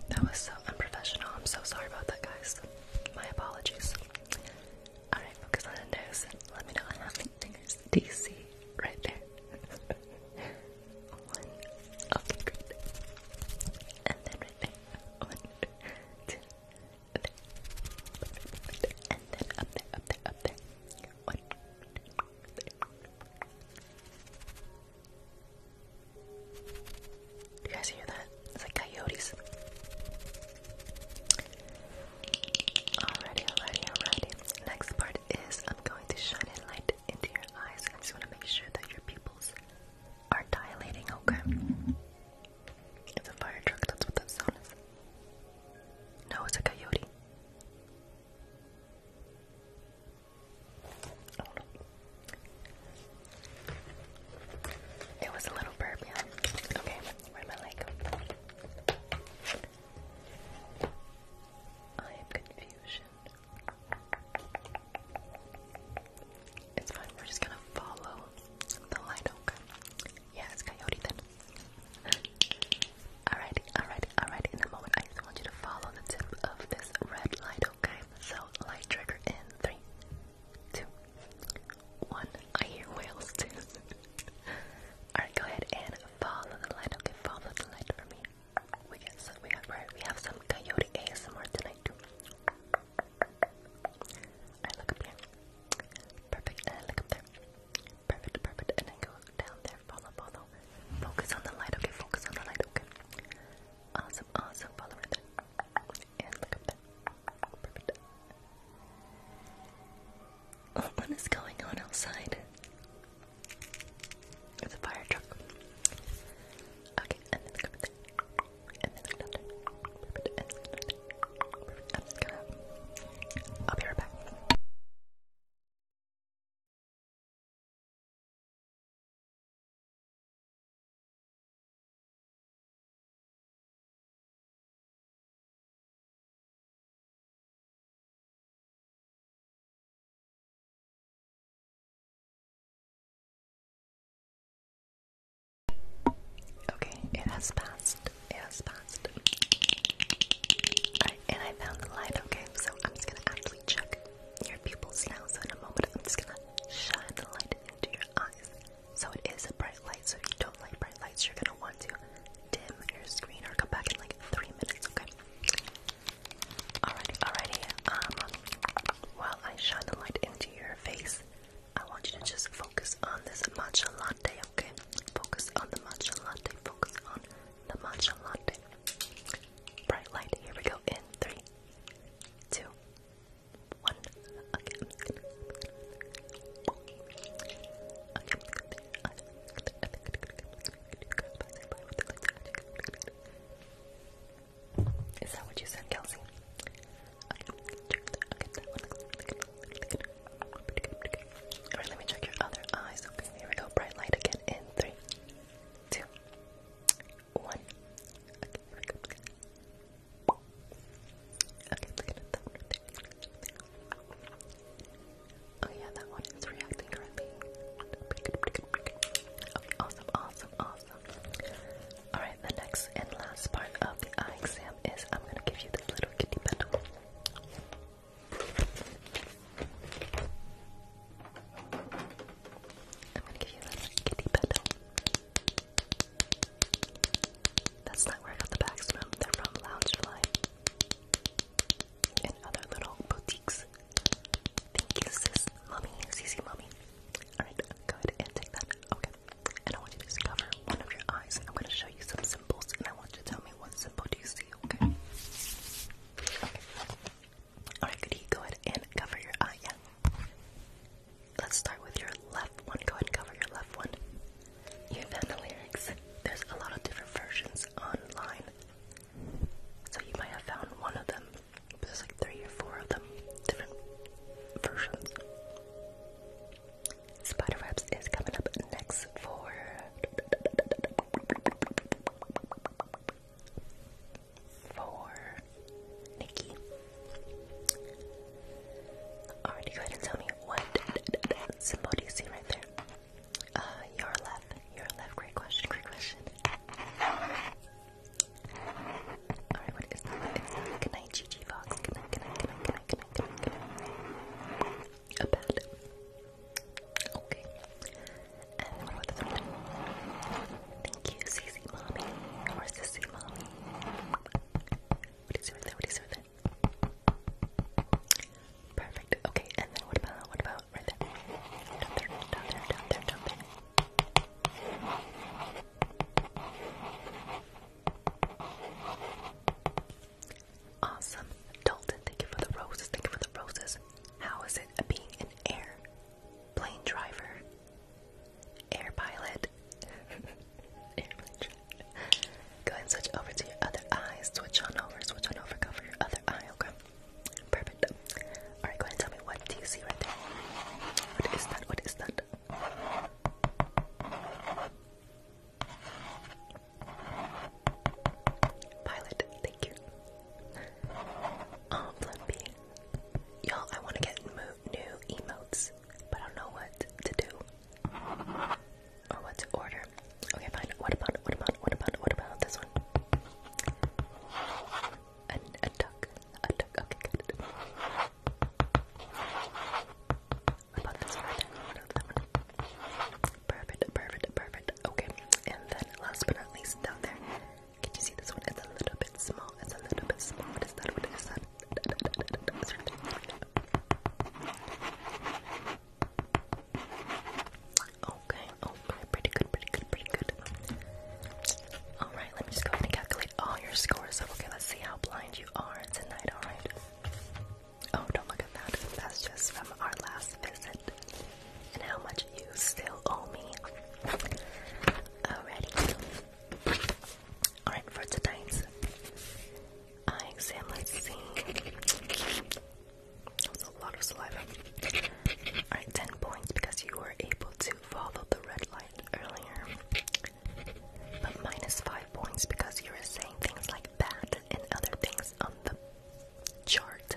That was so unprofessional. I'm so sorry about that, guys. My apologies. Alright, focus on the nose. Let me know how many fingers do you see right there? One. Okay, oh, great. And then right there. And then up there, up there, up there. One, two, three. Do you guys hear that? It's like coyotes. Alrighty, alrighty, alrighty. Next part is I'm going to shine a light into your eyes. I just want to make sure that your pupils are dilating, okay? It's a fire truck, that's what that sound is. No, it's a coyote. It was a little burp, yeah. Okay, where am I I am confusion. It's fine, we're just gonna follow the light, okay? Yeah, it's coyote then. alrighty, alrighty, Alright, in a moment, I just want you to follow the tip of this red light, okay? So, light trigger in three, two, one. I hear whales too. Alright, go ahead and follow the light. Okay, follow the light for me. We get some, we have, we have some coyote ASMR tonight too. Alright, look up here. Perfect, and look up there. Perfect, perfect, and then go down there follow, follow. Focus on the light, okay? Focus on the light, okay? Awesome, awesome. Follow right there. And look up there. Perfect. Oh, what is going on outside? It's a fire truck. Okay, and then look up there. And then look down there. Perfect. And then look there. Perfect. I'm just gonna. I'll be right back. Okay, it has passed. It has passed. and I found the light, okay, so I'm just gonna actually check your pupils now, so in a moment I'm just gonna shine the light into your eyes. So it is a bright light, so if you don't like bright lights, you're gonna want to dim your screen or come back in like three minutes, okay? Alrighty, alrighty. Um while I shine the light into your face, I want you to just focus on this matcha latte, okay? Focus on the matcha latte, focus on the matcha latte. Bright light. Here we go. In three, two, one. Okay. Is that what you said, Kelsey? Alright, let me check your other eyes. Okay, here we go. Bright light again in three, two, one. Okay, we oh, yeah, that one is reacting correctly. Okay, awesome, awesome, awesome. Alright, the next and last part of the exam is I'm gonna give you this little kitty petal. I'm gonna give you a kitty pedal. That's not where I got the bags from. They're from Loungefly and other little boutiques. Thank you, sis, mommy, CC, mommy. All right, go ahead and take that. Okay, and I want you to cover one of your eyes. I'm gonna show you some symbols, and I want you to tell me what symbol do you see. Okay. Alright, could go ahead and cover your eye? Yeah. Let's start with your left one. Go ahead and cover your left one. You found There's a lot of different versions online. So you might have found one of them. There's like three or four of them. Different versions. Spider Webs is coming up next for for Nikki. Alrighty, go ahead and tell me what symbol do you see right there? Uh, your left, your left. Great question, great question. Alright, what is that? Good night, Gigi Fox. Good night, good night, good night, good night, good night, good night, good night. Okay. And for the winter. Thank you, Cece Mommy. Or Mommy. What is it with that? What is it with that? Perfect. Okay, and then what about, what about right there? Down there, down there, down there, down there. Awesome. Dalton, thank you for the roses. Thank you for the roses. How is it being an heir plane driver, air pilot, Go and switch over to your other eye. Switch on over, switch on over, go your other eye, okay? Perfect. Alright, go and tell me what do you see right there? What is that? What is that? Pilot, thank you. Oh, Y'all, I want to get new emotes, but I don't know what to do or what to order. Okay, fine. What about, what about, what about, what about this one? An, a duck. A duck. Okay, good. What about this one What about that one? Perfect, perfect, perfect. Okay, and then last but not least down there. Can you see this one? It's a little bit small. It's a little bit small. What is that? What is that? Okay, oh, okay, pretty good, pretty good, pretty good. Alright, let me just go ahead and calculate all your scores. Okay, let's see how blind you are tonight, alright? Oh, don't look at that. That's just from our last visit. And how much you still owe me. Alrighty. Alright, for tonight's eye exam, let a lot of saliva. Alright, 10 points because you were able to follow the red light earlier. But minus 5 points because you were saying things like that and other things on the chart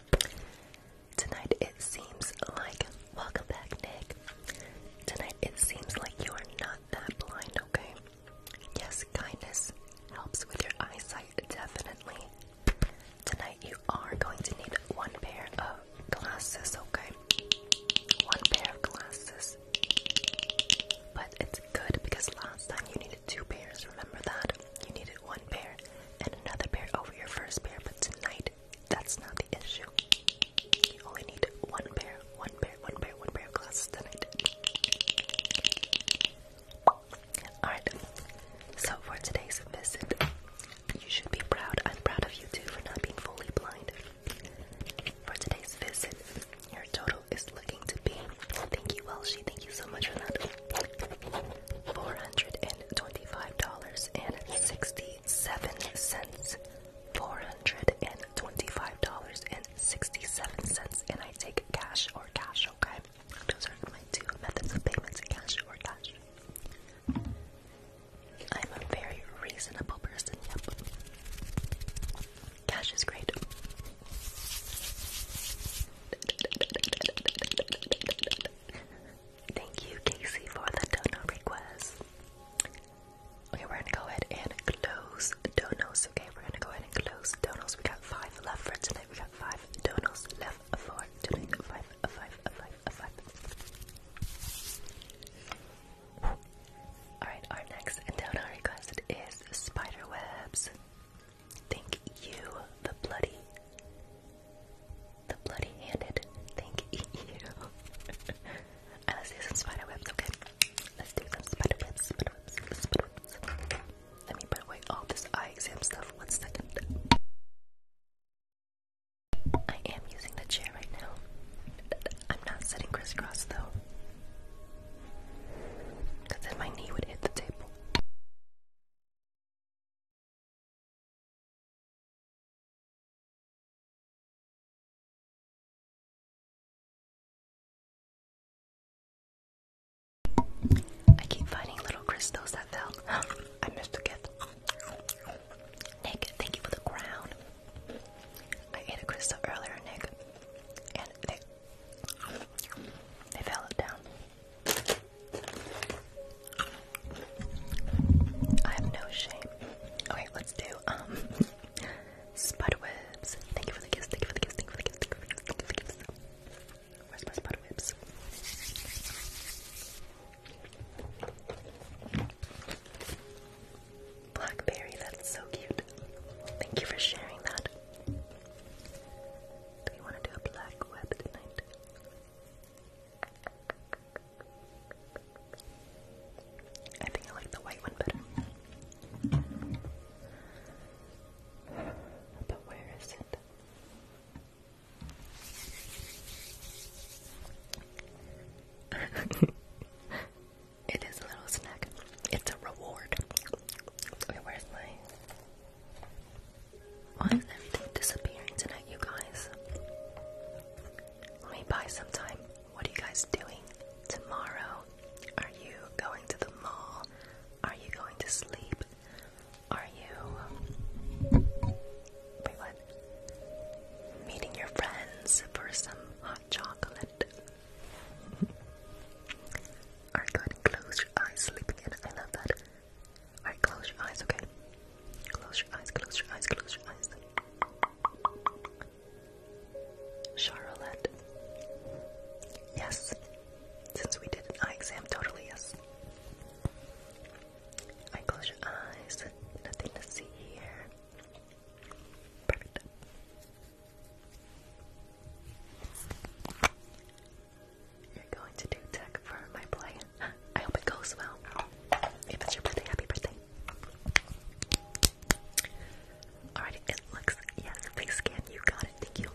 Tonight it seems like welcome back, Nick. Tonight it seems like you are not that blind, okay? Yes, kindness helps with your eyesight definitely. Tonight you are going to need one pair of glasses, okay? One pair of glasses. But it's good because last time you needed two pairs, remember that? You needed one pair and another pair over your first pair, but tonight that's not the issue. You only need one pair, one pair, one pair, one pair of glasses tonight. Alright, so for today's visit, you should be proud. I'm proud of you too for not being fully blind. For today's visit, your total is looking to be. Thank you, She. Thank you so much for that four hundred and twenty-five dollars and sixty-seven cents. Four hundred and twenty-five dollars and sixty-seven cents, and I take cash or cash. Okay, those are my two methods of payments: cash or cash. I'm a very reasonable person. Yep, cash is great. Thank you, Casey, for the dono request. Okay, we're gonna go ahead and close the donos. Okay, we're gonna go ahead and close donos. We got five left for tonight. We got five donos left for tonight. Five, five, five, Alright, our next donor request is webs. Thank you, the bloody, the bloody-handed. Thank you. let's do some spider webs, okay? Let's do some spider webs. Let me put away all this eye exam stuff. One second. I am using the chair right now. I'm not sitting crisscross though. Because then my knee would hit the table. I keep finding little crystals that fell. I missed a gift. Nick, thank you for the crown. I ate a crystal earlier, Nick, and they fell down. I have no shame. Okay, let's do um Spudwebs. Thank you for the kiss, thank you for the kiss, thank you for the kiss, thank you for the kiss, thank you for the kiss. Where's my Spudwebs? Blackberry, that's so cute. Thank you for sharing that. Do we want to do a black web tonight? I think I like the white one better. But where is it? it is a little snack. It's a reward. where's my why is everything disappearing tonight, you guys? Let me buy some time. What are you guys doing tomorrow? Are you going to the mall? Are you going to sleep? Are you. Meeting your friends for some hot chocolate? Are you going to close your eyes sleeping in? I love that. Alright, close your eyes, okay? Close your eyes, close your eyes, close your eyes. Charlotte. Yes. Since we did an eye exam, totally yes. I close your eyes. Nothing to see here. Perfect. You're going to do tech for my play. I hope it goes well. If it's your birthday, happy birthday. Alrighty, it looks, yes, face scan, you got it, thank you.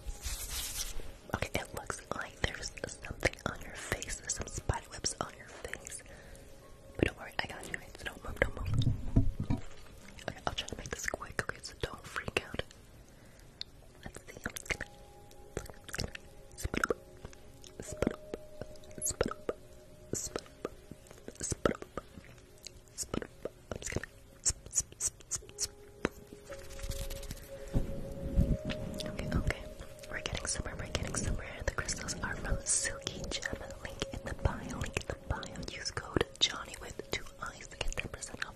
Okay, it looks like there's something on your face, there's some spider on your face. But don't worry, I got you, don't move, don't move. I'll try to make this quick, okay, so don't freak out let okay, okay. We're getting somewhere. We're getting somewhere. The crystals are from Silky Gem. Link in the bio. Link in the bio. Use code Johnny with two eyes to get 10% off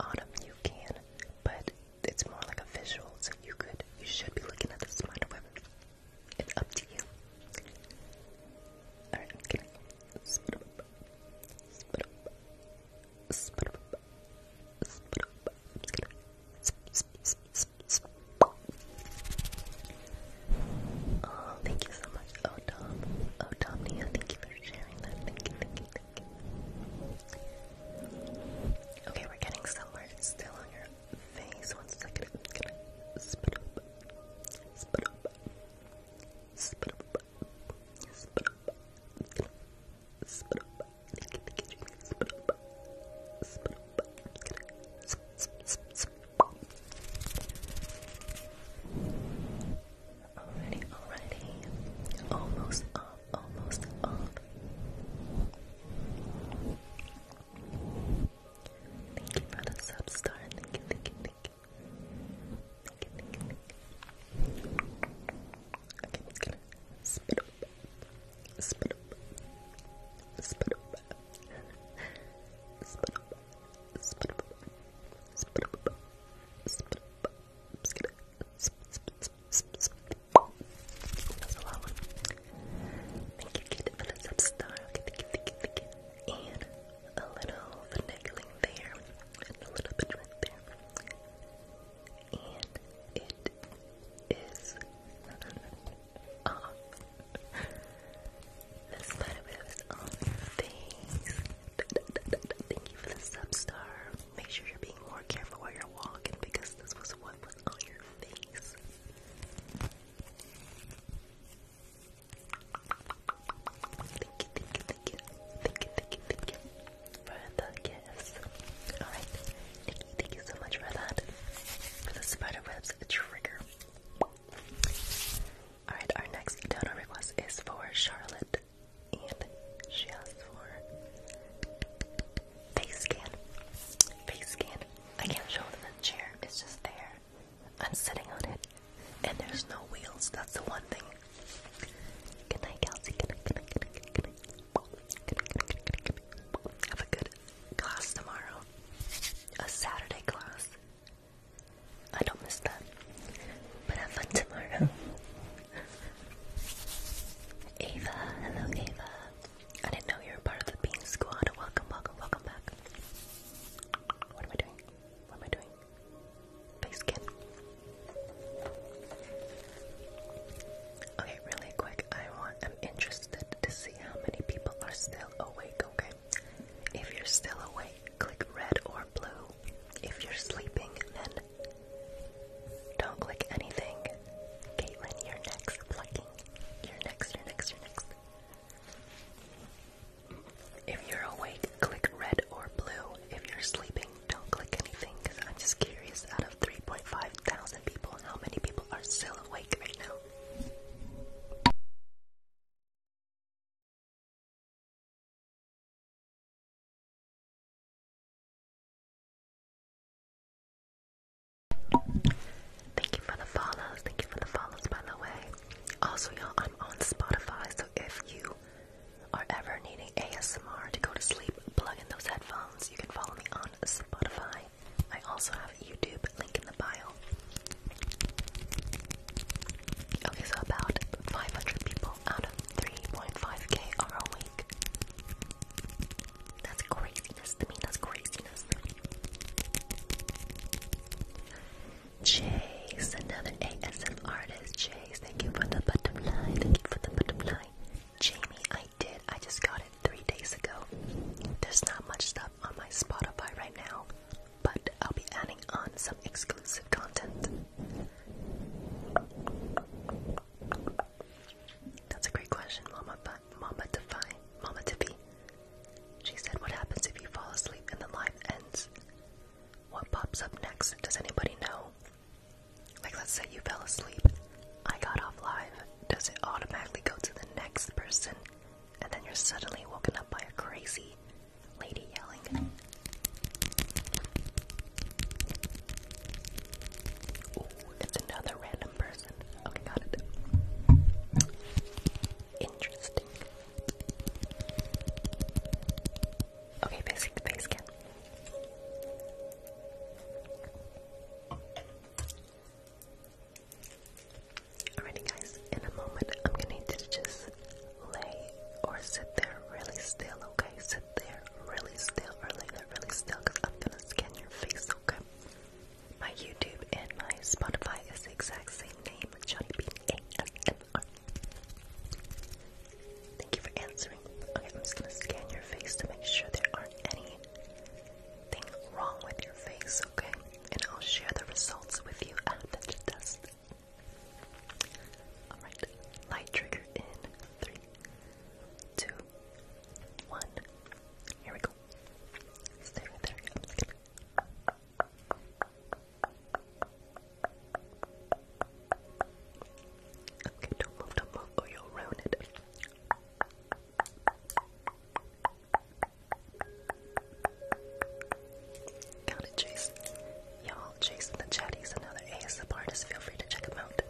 Autumn, you can, but it's more like a visual, so you could, you should be looking at the spider It's up to you. Alright, I'm gonna Oh, thank you so much. Oh, Tom. Oh, thank you sharing that. Okay, we're getting somewhere. still on your face. One already, already, almost up, almost up. Thank you for the sub star. Thank you, thank you, thank you. Thank you, thank you, thank you. Thank you, kid, for the sub star. Okay, thank you, thank you, thank you. And a little finagling there, and a little bit right there. And it is. Uh -huh. The spider web is on your face. Thank you for the substar. Make sure you're being more careful while you're walking because this was what was on your face. Thank you, thank you, thank you, thank you, thank you, thank you for the gifts. All right, Nikki, thank you so much for that. For the spider webs trigger. All right, our next donor request is for Charlotte and she asked for face scan. Face scan. I can't show them the chair, it's just there. I'm sitting on it, and there's no wheels. That's the one thing. Good night, Kelsey. Have a good class tomorrow. A Saturday class. I don't miss that. But have fun tomorrow. Ava, hello Ava. I didn't know you were part of the Bean Squad. Welcome, welcome, welcome back. What am I doing? What am I doing? Face skin. Okay, really quick. I want. I'm interested to see how many people are still awake. Okay, if you're still awake, click red or blue. If you're sleeping, then don't click anything. Caitlin, you're next. Plucking. You're next, you're next, you're next. If you're awake, click red or blue. If you're sleeping, don't click anything because I'm just curious out of 3.5 thousand people, how many people are still awake right now? Thank you for the follows. Thank you for the follows, by the way. Also, y'all, I'm on Spotify, so if you are ever needing ASMR to go to sleep, plug in those headphones. You can follow me on Spotify. I also have YouTube link in the bio. Okay, so about 500 people out of 3.5k are awake. That's craziness to me, that's craziness. Chase, another ASM artist. Chase, thank you for the bottom line. thank you for the bottom line. Jamie, I did, I just got it three days ago. There's not much stuff on my Spotify right now but I'll be adding on some exclusive content. That's a great question, Mama. Mama Defy, Mama She said, "What happens if you fall asleep and the live ends? What pops up next? Does anybody know? Like, let's say you fell asleep, I got off live. Does it automatically go to the next person, and then you're suddenly woken up by a crazy, lady yelling. Ooh, it's another random person. Okay, got it. Interesting. Okay, basic face scan. Alrighty guys, in a moment I'm going to just lay or sit there really still, okay? Sit there really still or lay there really still because I'm gonna scan your face, okay? My YouTube and my Spotify is the exact same name, Johnny Bean Thank you for answering. Okay, I'm just gonna scan your face to make sure there aren't anything wrong with your face, okay? And I'll share the results with you after the test. Alright, light trigger in three, two, one. Here we go. Stay right there. Okay, don't move, don't or you'll ruin it. Got it, Jason. Y'all, Jason the chat, he's another ASMR artist. Feel free to check him out.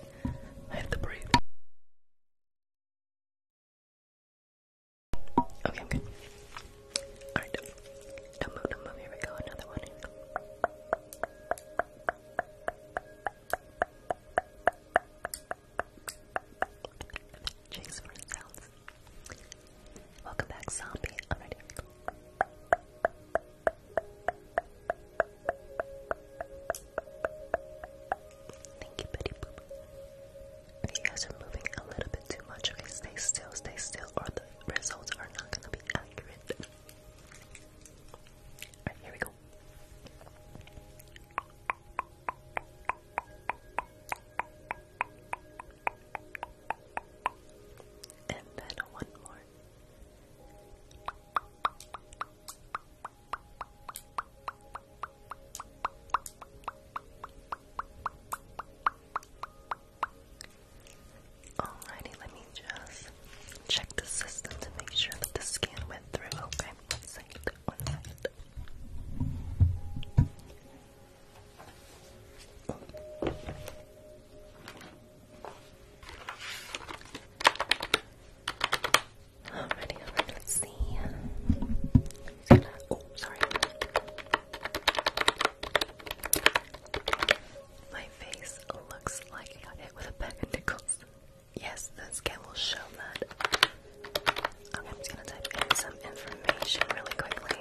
I have to breathe. Okay, okay. Alright. Don't Here we go. Another one. Jason for sounds. Welcome back, zombie. Alright, here we Thank you, Betty Boop. You guys moving a little bit too much. Okay, stay still, stay still, or the results are not going to be accurate. Alright, here we go. And then one more. Alrighty, let me just check the system to make sure that the scan went through. Okay, Alrighty, let's see. oh, sorry. My face looks like it got hit with a bag of Yes, the scan will show that. Okay, I'm just gonna type in some information really quickly.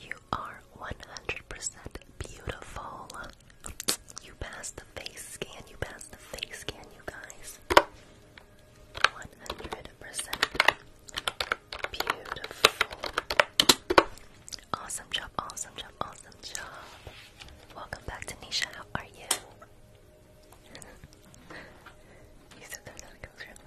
you are 100% beautiful. You passed the face scan, you passed the face scan, you guys. 100% beautiful. Awesome job, awesome job, awesome job. Welcome back, Tanisha. How are you?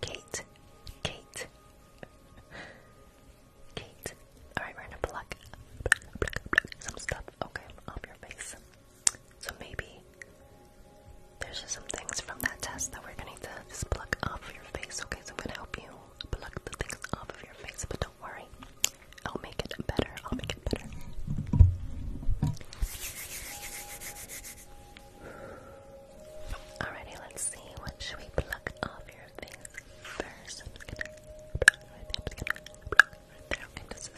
Kate, Kate, Kate. Alright, we're gonna pluck, some stuff, okay, off your face. So maybe there's just some things from that test that we're gonna need to just pluck off your face, okay? So I'm gonna help you pluck the things off of your face, but don't worry, I'll make it better. I'll make it better. Alrighty, let's see. What should we pluck off your face first? I'm just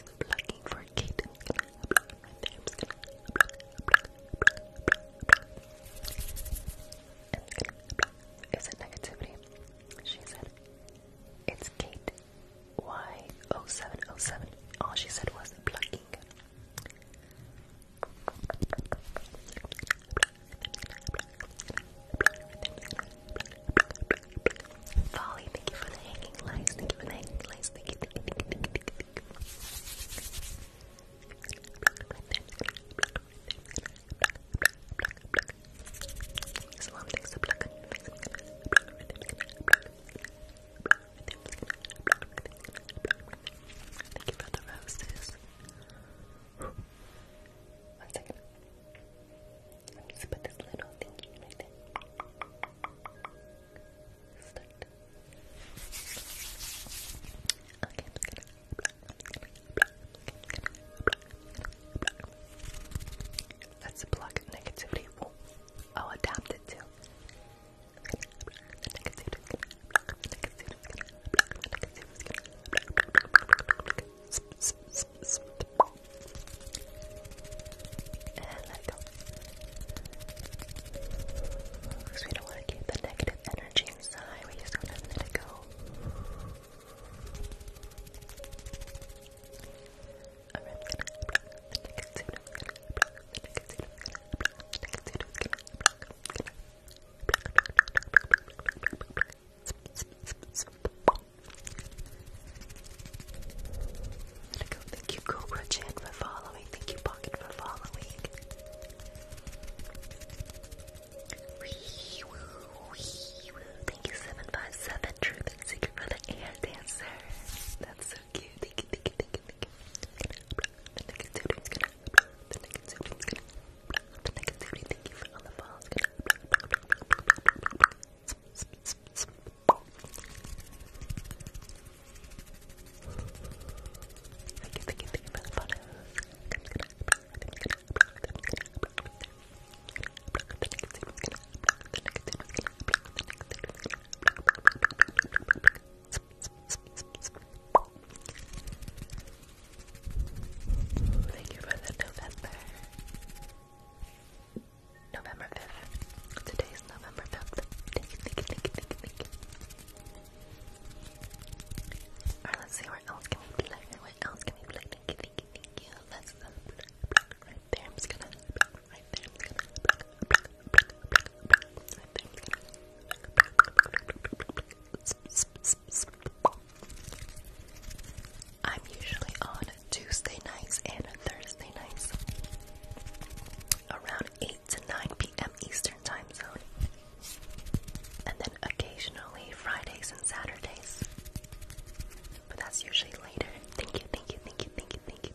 going for Kate. i negativity? She said, it's Kate. Y0707. All she said was plucking. Folly, thank you for the hanging lights. Thank you for the hanging lights. Thank you. Thank you for the roses. One second. I'm just put this little thingy right there. Start. Okay, let's block negativity. Ooh. will oh, adapt it to and let it go. Because we don't want to keep the negative energy inside, we just want to let it go. Thank you, Cobra Chan, for following. Thank you, Pocket, for following. Thank you, 757 True Jordan, thank you for the air That's so cute. Thank you, thank you, thank you, thank for all the balls. Thank you, thank for the photos. Thank you for the November. November 5th. Today's November 5th. Thank you, thank you, thank you, thank you, thank you. Alright, let's see what else can we play. What else can we play? Thank you, thank you, thank you. Let's uh, um, play, play, I'm I'm usually on Tuesday nights and Thursday nights around 8 to 9 p.m. Eastern time zone. And then occasionally Fridays and Saturdays. But that's usually later. Thank you, thank you, thank you, thank you, thank you,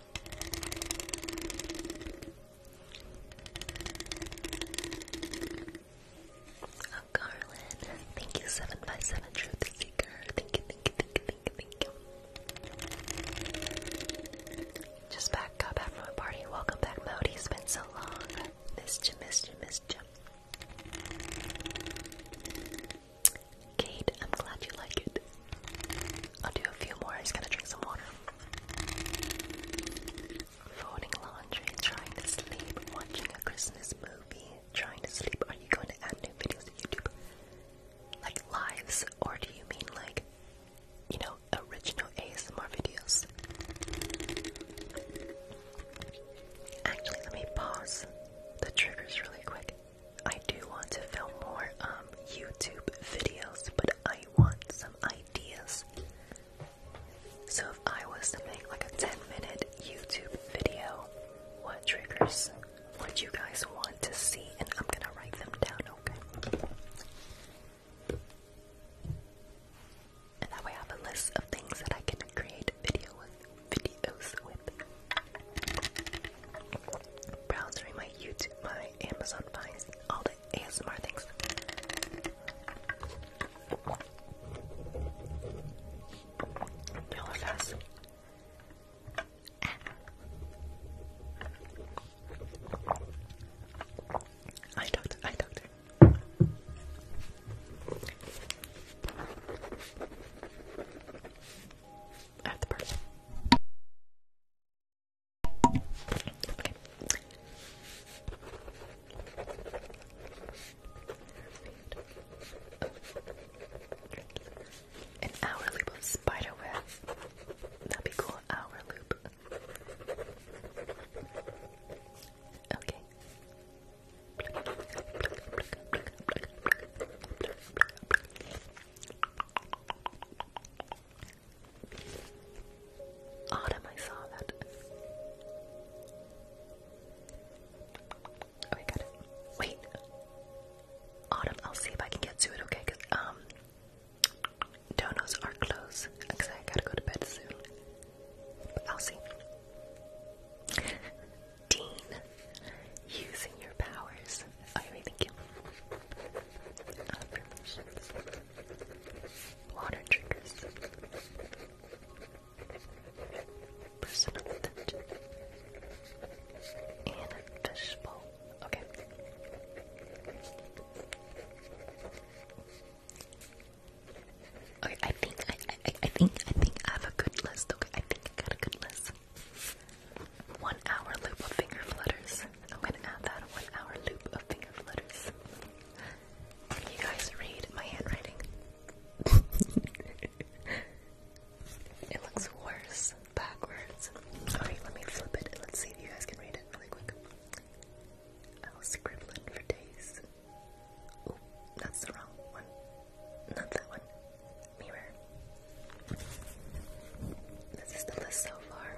Oh, Garland, thank you, 7 by 7 Truth Seeker. Just back, got back from party. Welcome back, Modi. It's been so long. Missed you, missed Kate, I'm glad you like it. I'll do a few more. I'm just gonna drink some water. Folding laundry, trying to sleep, watching a Christmas movie, trying to sleep. Are you going to add new videos to YouTube? Like lives, or do you mean like, you know, original ASMR videos? Actually, let me pause the triggers really quick. I do want to film more um, YouTube videos, but I want some ideas. So if I was to make like a 10 minute YouTube video, what triggers would you guys want to see? And I'm gonna write them down, okay? And that way I have a list of things that I can create video videos with. Browse my YouTube, my Amazon finds, all the ASMR things. Y'all fast. Ah. I doctor, I doctor. At the person. An hour loop of spider web. That'd be cool. Hour loop. Okay. Autumn, I saw that. Oh, I Wait. Autumn, I'll see if I can get to it, okay? Cause, um, donos are closed because I gotta go to bed soon. But I'll see. Dean, using your powers. I really give affirmations, water triggers, personal attention, and a fishbowl. Okay. Okay, I think I, I I think I think I have a good list. Okay, I think I got a good list. One hour loop of finger flutters. I'm gonna add that one hour loop of finger flutters. Can you guys read my handwriting? it looks worse backwards. Alright, let me flip it. Let's see if you guys can read it really quick. I'll scribble it for days. Oh, that's the wrong one. Not that one. Mirror. This is the list so far.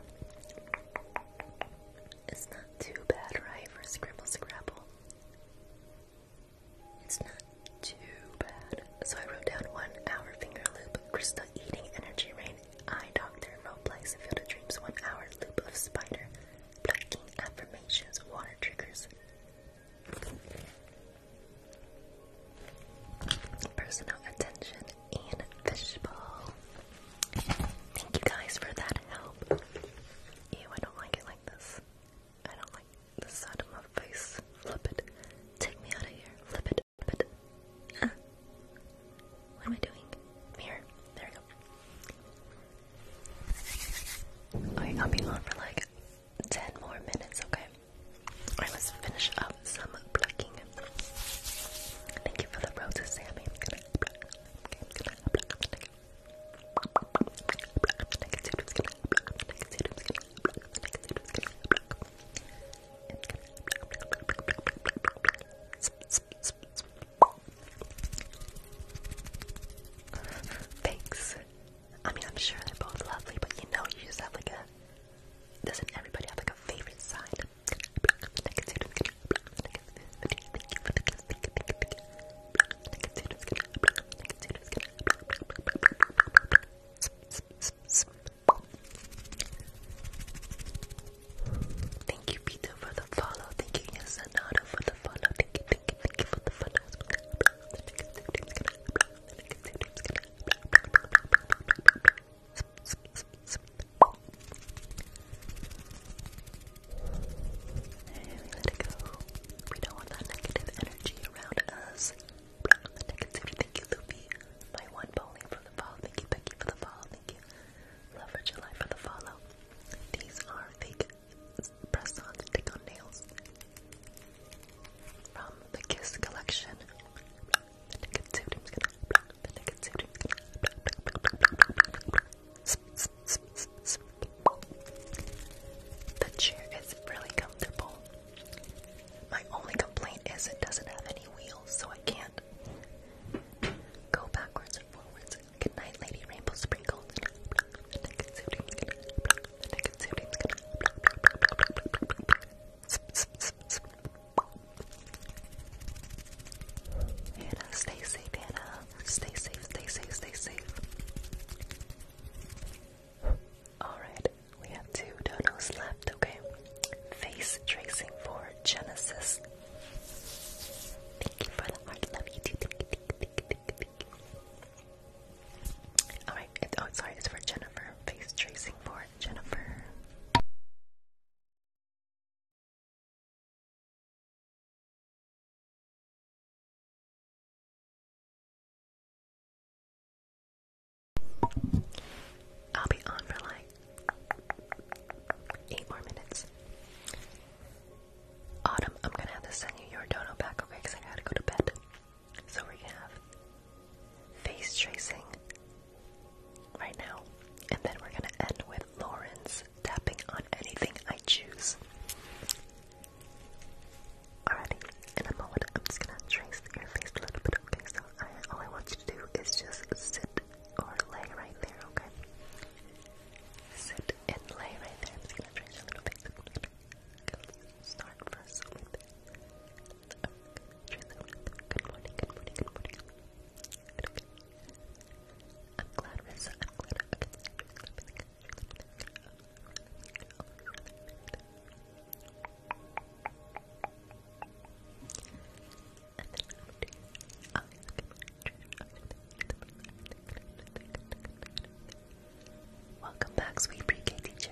It's not too bad, right, for Scribble Scrabble? It's not too bad. So I wrote down one hour finger loop, crystal eating, energy rain, eye doctor, roleplay, field of dreams, one hour loop of spider, plucking affirmations, water triggers personal attention, and fishbowl. Thank you guys for that help. Ew, I don't like it like this. I don't like the sound of my face. Flip it. Take me out of here. Flip it. Flip it. what am I doing? Mirror. There we go. Okay, I'll be on for like 10 more minutes, okay? I must finish up some plucking. Thank you for the roses, Sammy. Thanks. I mean, I'm sure they're both lovely, but you know, you just have like a. Doesn't everybody have like a favorite side? Thank you, Peter, for the follow. Thank you, Yasanato, for the follow. Thank you, thank you, thank you for the follow. Thank you, thank you, thank you for the follow let it go. We don't want that negative energy around us. The negativity. Thank you, Loopy. My one bowling for the fall. Thank you, Becky, for the fall. Thank you, Lover July, for the follow. These are fake press-on stick-on nails from the Kiss collection. The chair is really comfortable. My only complaint is it doesn't have any wheels, so I can't go backwards and forwards. Goodnight, Lady Rainbow Sprinkles. Hannah, stay safe, Hannah. Stay safe, stay safe, stay safe. Alright, we have two donos left, okay? Face tracing for Genesis. Thank you for the heart. Love you. Alright, oh, sorry, it's for Jennifer. Face tracing for Jennifer. I'll be on for like eight more minutes. Autumn, I'm gonna have to send you your dono back, okay? Because I gotta go to bed. So we have face tracing right now. And then we're going to end with Lauren's tapping on anything I choose. Alrighty, in a moment I'm just going to trace your face a little bit, okay? So all I want you to do is just sit or lay right there, okay? Sit and lay right there. I'm just going to trace your little face. Start first Good morning, good morning, good morning. I'm glad, we're. am glad Welcome back, sweet pre-K teacher.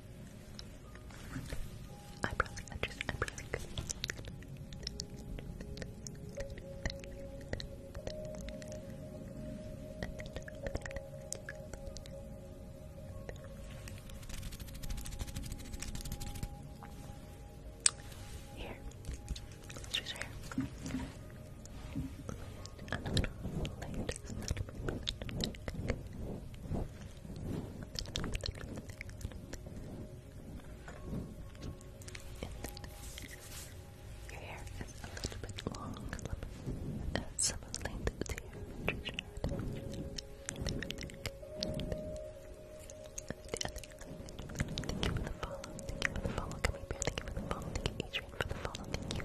Eyebrows, edges, eyebrows. Here, let's use her. Your hair is a little bit long, uh, some of length to your Thank you for the follow. Thank you for the follow. Thank you for the follow. Thank you, for the follow. Thank you.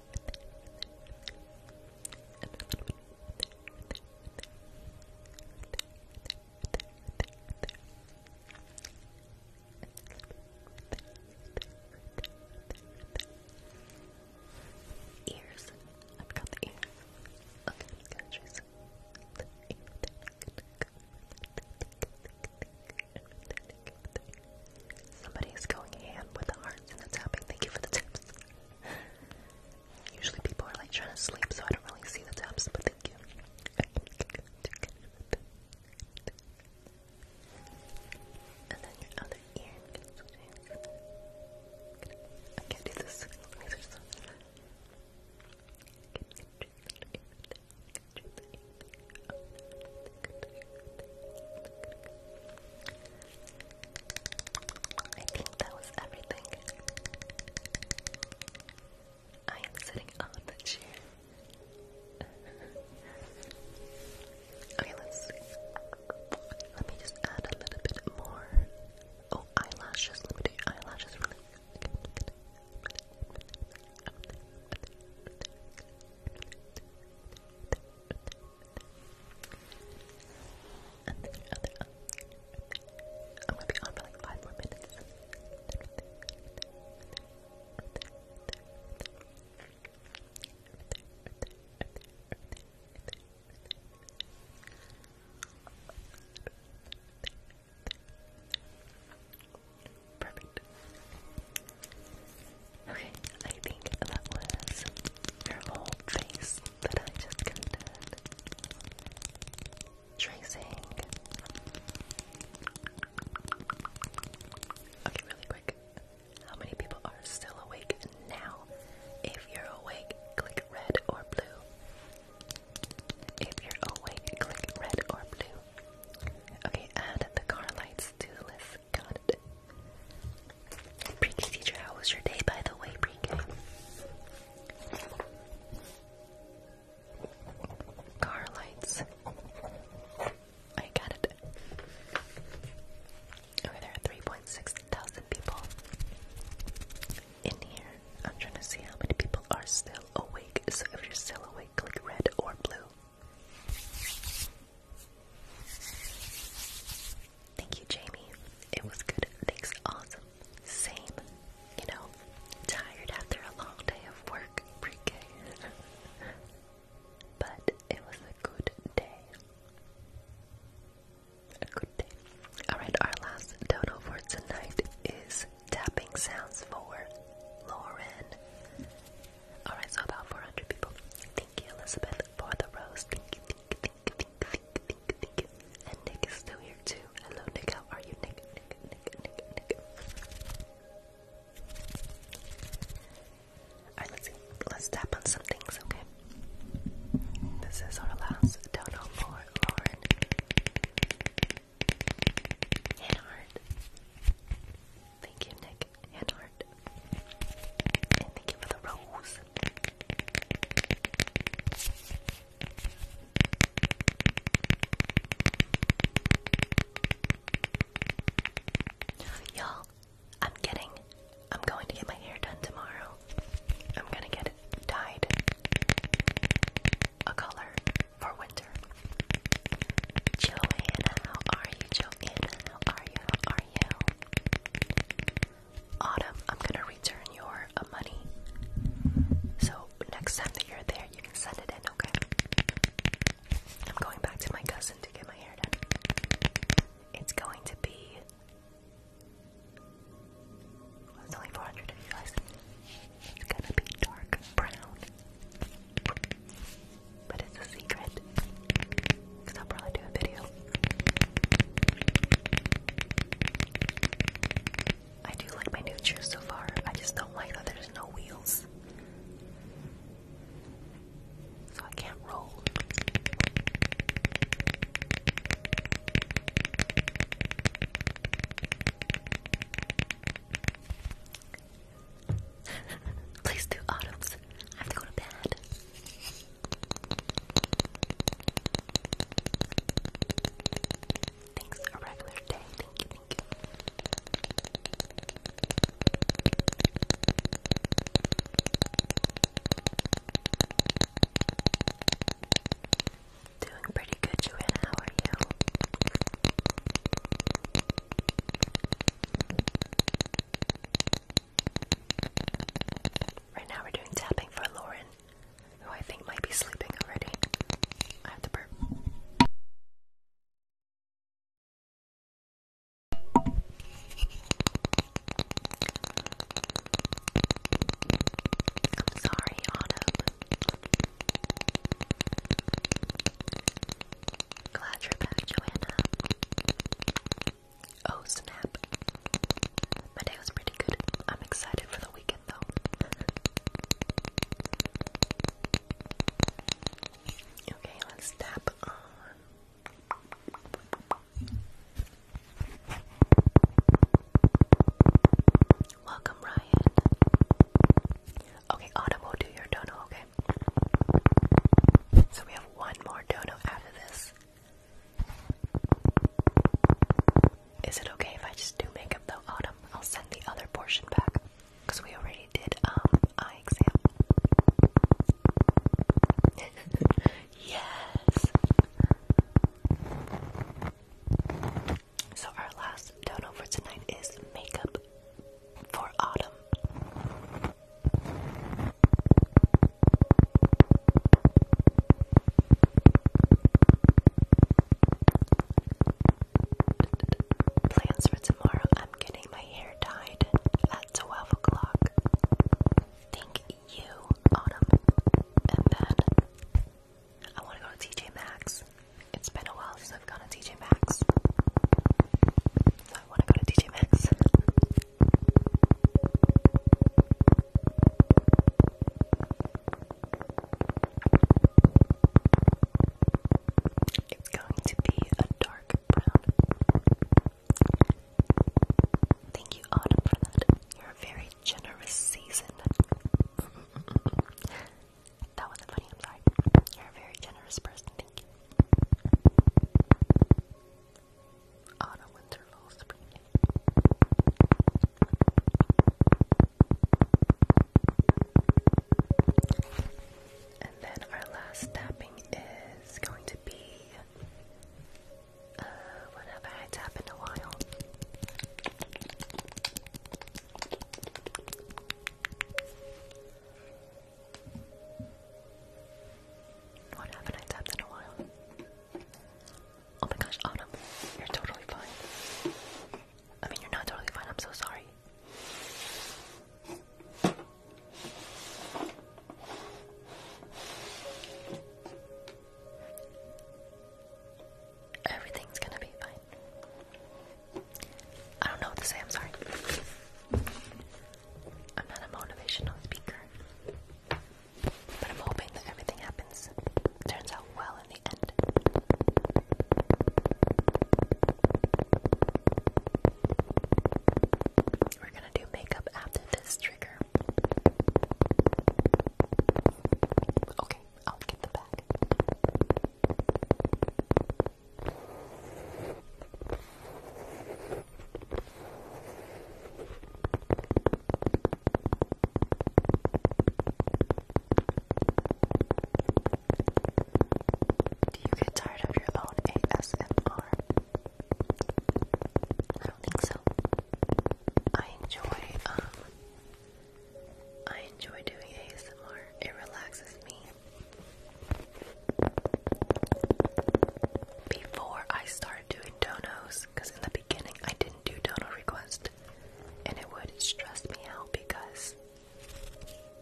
Ears. I've got the ears. Okay, I'm gonna choose. Somebody's going ham with the hearts and the tapping. Thank you for the tips. Usually people are like trying to sleep, so I don't really see the taps, but thank you. I think that was everything. I am sitting on the chair. okay, let's Let me just add a little bit more. Oh, eyelashes. Let eyelashes really. And then your other eye. I'm gonna be on for like five more minutes. Okay. Perfect. Okay, I think that was your whole face that I just counted. Tracing. Okay, really quick. How many people are still awake now? If you're awake, click red or blue. If you're awake, click red or blue. Okay, add the car lights to the list. Got it. Pre-K teacher, how was your day, by the way, pre-K? Car lights. I got it. Okay, there are 3.6 thousand people in here. I'm trying to see how many people are still awake. So if you're still awake, click red or blue. Thank you, Jamie. It was good. Thanks, awesome. Same. You know, tired after a long day of work, pre but it was a good day. A good day. Alright, our last dodo for tonight is tapping sounds for Lauren. Alright, so about 400 people. Thank you, Elizabeth, for the rose. Thank you, thank you, thank you, thank you, thank you, thank you. And Nick is still here too. Hello, Nick, how are you, Nick? Nick, Nick, Nick, Nick. Alright, let's see. Let's tap on some things, okay? This is our last dono for Lauren. Hit hard. Thank you, Nick Handhart. And thank you for the rose. Y'all, I'm getting, I'm going to get my hair done tomorrow. I'm gonna get dyed a color for winter. Joanna, are you, Joanna? are you? are you? Autumn, I'm gonna return your uh, money. So next time that you're there, you can send it in, okay? I'm going back to my cousin to get my hair done. It's going to be. it's only 400 It's gonna be dark brown. But it's a secret. Because I'll probably do a video. I do like my new shoes so far. I just don't like that there's no wheels. So I can't roll. Please do autumns. I have to go to bed. Thanks, a regular day. Thank you, thank you. Doing pretty good, Joanna. How are you? Right now we're doing tapping for Lauren, who I think might be sleeping already. I have to burp. I'm sorry, Autumn. Glad you're back, Joanna. Oh snap. My day was pretty good. I'm excited for the weekend though. okay, let's tap on. Welcome, Ryan. Okay, Autumn will do your dono, okay? So we have one more dono after this. Is it okay if I just do makeup though, Autumn? I'll send the other portion back. Because we already did um eye exam. yes. So our last dono for tonight is makeup for autumn. Plans for tomorrow. I'm getting my hair dyed at 12 o'clock. Thank you, Autumn. And then I want to go to TJ Maxx. It's been a while since I've gone to TJ Maxx. I want to go to DJ Max. It's going to be a dark brown. Thank you, Autumn, for that. You're a very generous season. that wasn't funny, I'm sorry. You're a very generous person, thank you. Autumn, winter, fall, spring. And then our last tapping is going to be uh, I tapped in a while? What haven't tapped in a while? Oh my gosh, Autumn, you're totally fine. I mean, you're not totally fine, I'm so sorry. Everything's gonna be fine. I don't know what to say, I'm sorry. I'm not a motivational speaker, but I'm hoping that everything happens, turns out well in the end. We're gonna do makeup after this trigger. Okay, I'll get the bag. Do you get tired of your own ASMR? I don't think so. I enjoy um I enjoy doing ASMR. It relaxes me before I started doing donos, because in the beginning I didn't do dono requests, and it would stress me out because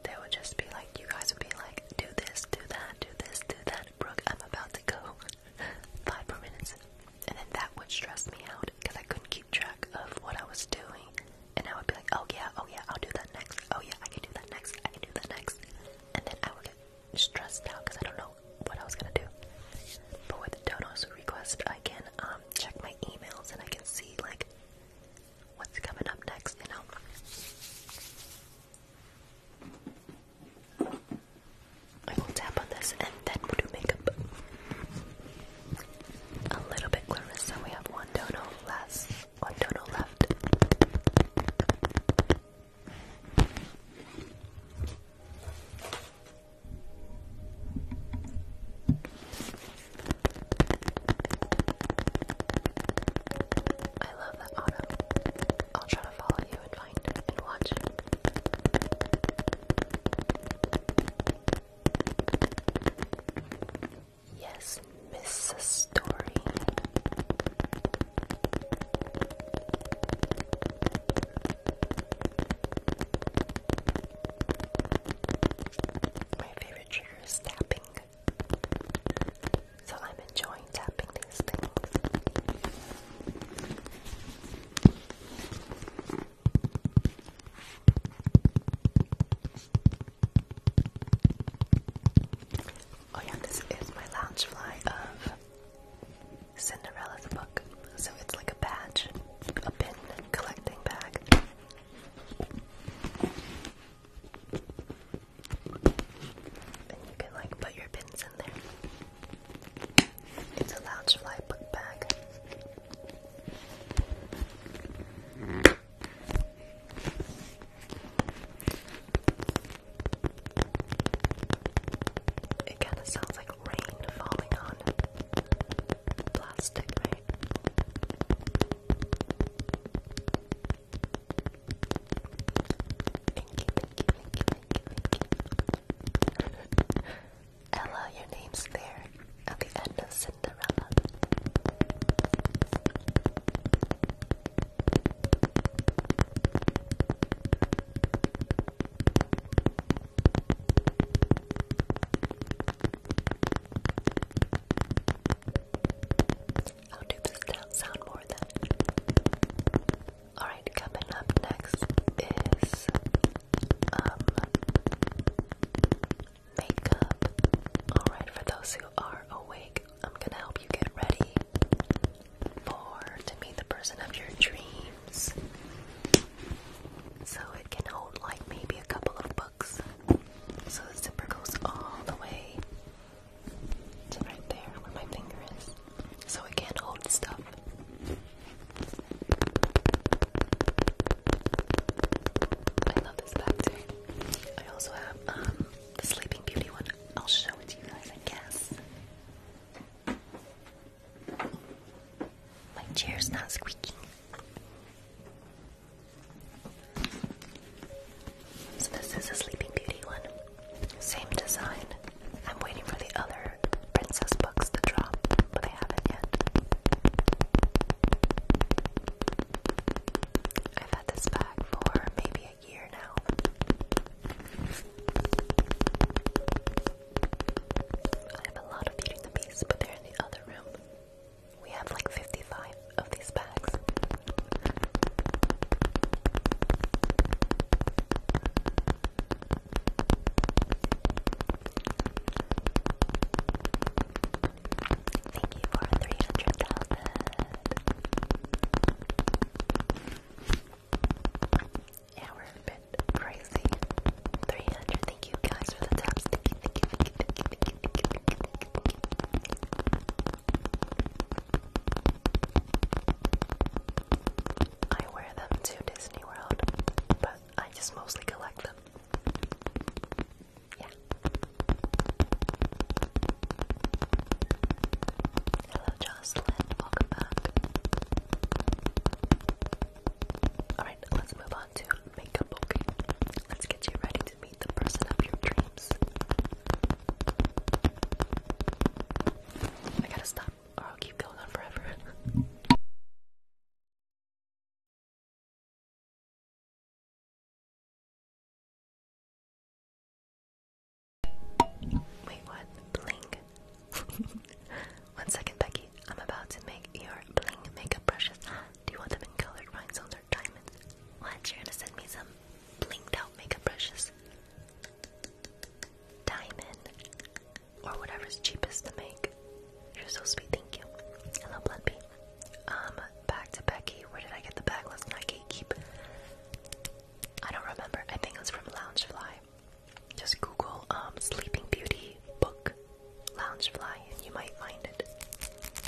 they would just be like, you guys would be like, do this, do that, do this, do that. Brooke, I'm about to go five more minutes, and then that would stress me out because I couldn't keep track of what I was doing, and I would be like, oh yeah, oh yeah, I'll do that next. Oh yeah, I can do that next. I can do that next, and then I would get stressed out because I don't know what I was gonna do. But with the Dono's request, I can um, check my emails and I can see like what's coming up next, you know. I will tap on this and then we'll do makeup. A little bit, So We have one dono less. One dono left. I love that auto. I'll try to follow you and find and watch. Yes, Miss Story. My favorite trigger is tapping. So I'm enjoying tapping these things. Oh yeah, this is my lounge fly of Cinderella's book. So it's like a badge, a pin collecting bag. And you can like put your pins in there. It's a lounge fly book bag. It kind of sounds like rain falling on plastic, Ella, your name's there at the end of Cinderella. I'll do this sound more then. Alright, coming up next is um makeup. Alright, for those who are awake I'm gonna help you get ready for to meet the person of your dreams. So it can hold like maybe a couple of books. So the zipper goes all the way to right there where my finger is. So it can hold stuff. I love this back too. I also have um the Sleeping Beauty one. I'll show it to you guys, I guess. My chair's not squeaking. So this is a Sleeping Beauty one. Same design. I'm waiting for the other princess books to drop, but they haven't yet. I've had this bag for maybe year now. I have a lot of Beauty the Beast, but they're in the other room. We have like 55 of these bags. Thank you for 300,000. Yeah, we're a bit crazy. 300, thank you guys for the taps. I wear them to Disney World, but I just mostly collect them. Yeah. Hello, Jocelyn. Welcome back. Alright, let's move on to makeup, okay? Let's get you ready to meet the person of your dreams. I gotta stop, or oh, I'll keep going on forever. Wait, what? Bling. One second, Becky. I'm about to make your bling makeup brushes. Do you want them in colored rhinestones or diamonds? What? You're gonna send me some blinged out makeup brushes? Diamond. Or whatever's cheapest to make. You're so sweet, thank you. Hello, Blood Bee. Um, back to Becky. Where did I get the bag? Let's not gatekeep. I don't remember. I think it's was from Loungefly. Just Google um, Sleeping Beauty book Loungefly and you might find it.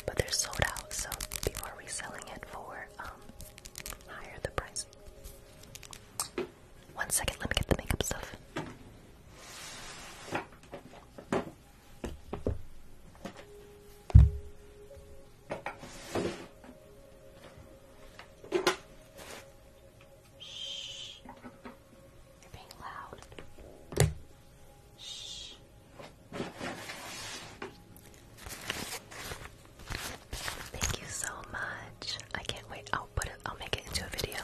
But they're sold out, so people are reselling it for um, higher the price. One second, let me get the makeup stuff. Shh. You're being loud. Shh. Thank you so much. I can't wait. I'll put it. I'll make it into a video.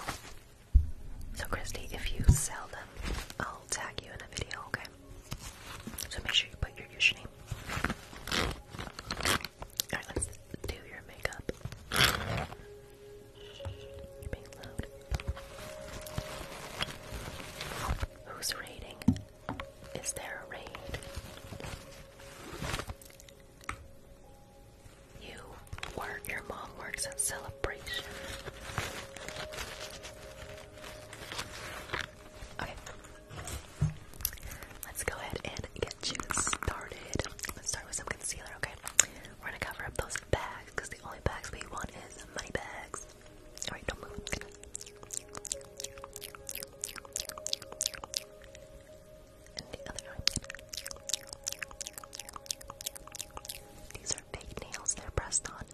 So Christy, if you sell them, I'll tag you in a video. Okay. So make sure you put your username Alright, let's do your makeup. Who's raiding? Is there a raid? You work, your mom works at celebration. Okay, Let's go ahead and get you started. Let's start with some concealer, okay? We're gonna cover up those bags because the only bags we want is money bags. Alright, don't move. These are fake nails, they're pressed on.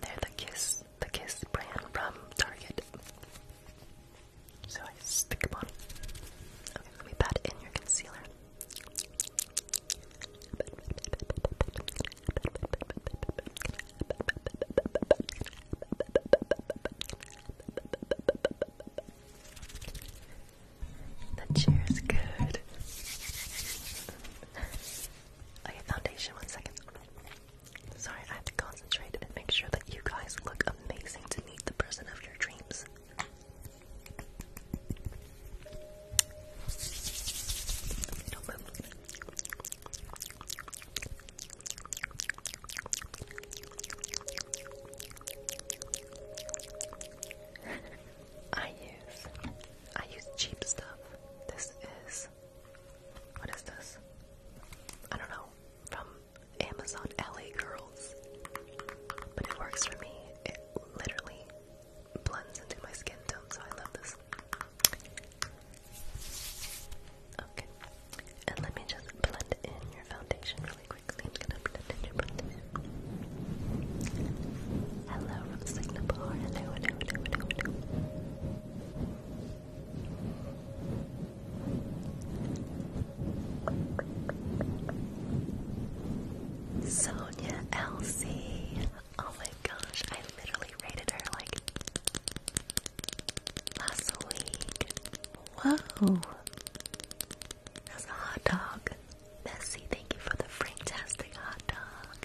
They're the kiss the Kiss brand from Target. So I stick them on. let me pat in your concealer. The chair is good. okay, foundation, one second. Sorry, I have to concentrate and make sure that you guys look amazing to meet the person of your dreams. I use I use cheap stuff. This is what is this? I don't know. From Amazon LA Girls. But it works for me. It literally blends into my skin tone, so I love this. Okay. And let me just blend in your foundation really quickly. I'm gonna blend in your foundation. Hello from Signabar. Hello, hello, hello, hello, hello. Sonia Elsie. Oh my gosh, I literally rated her like last week. Whoa. That's a hot dog. Bessie, thank you for the fantastic hot dog.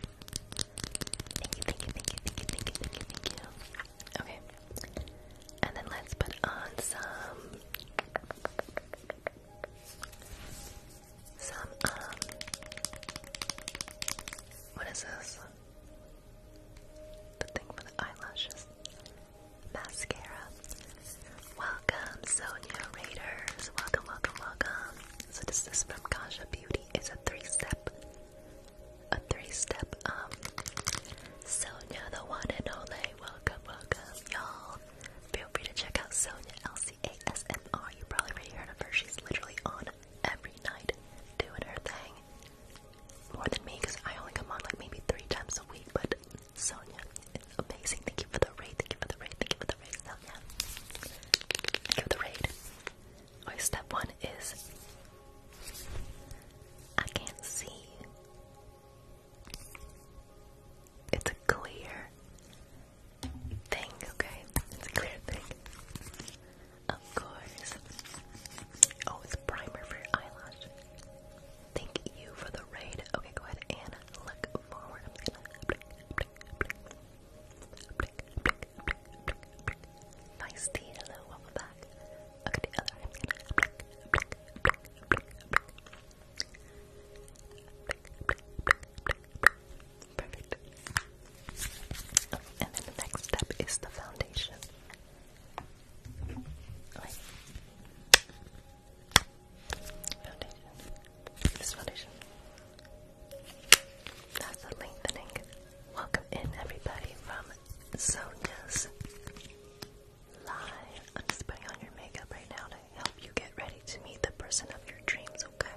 Okay. And then let's put on some some um what is this? The thing for the eyelashes. Mascara. Welcome, Sonia Raiders. Welcome, welcome, welcome. So this is from Kaja Beauty. It's a three-step a three-step up. Um, Sonia, the one and only, welcome, welcome, y'all. Feel free to check out Sonia LCASMR. You probably already heard of her. She's literally on every night doing her thing. More than me, because I only come on like maybe three times a week, but Sonia is amazing. Thank you for the raid, thank you for the raid, thank you for the raid, Sonia. Thank you for the raid. Or step one is I can't see. It's a clear thing, okay? It's a clear thing. Of course. Oh, it's primer for eyelash. Thank you for the raid. Okay, go ahead and look forward. Nice hello, welcome back. Okay, the other to Perfect. Okay, and then the next step is the foundation. Foundation. This foundation. That's the lengthening. Welcome in everybody from Sodas Live. I'm just putting on your makeup right now to help you get ready to meet the person of your dreams, okay?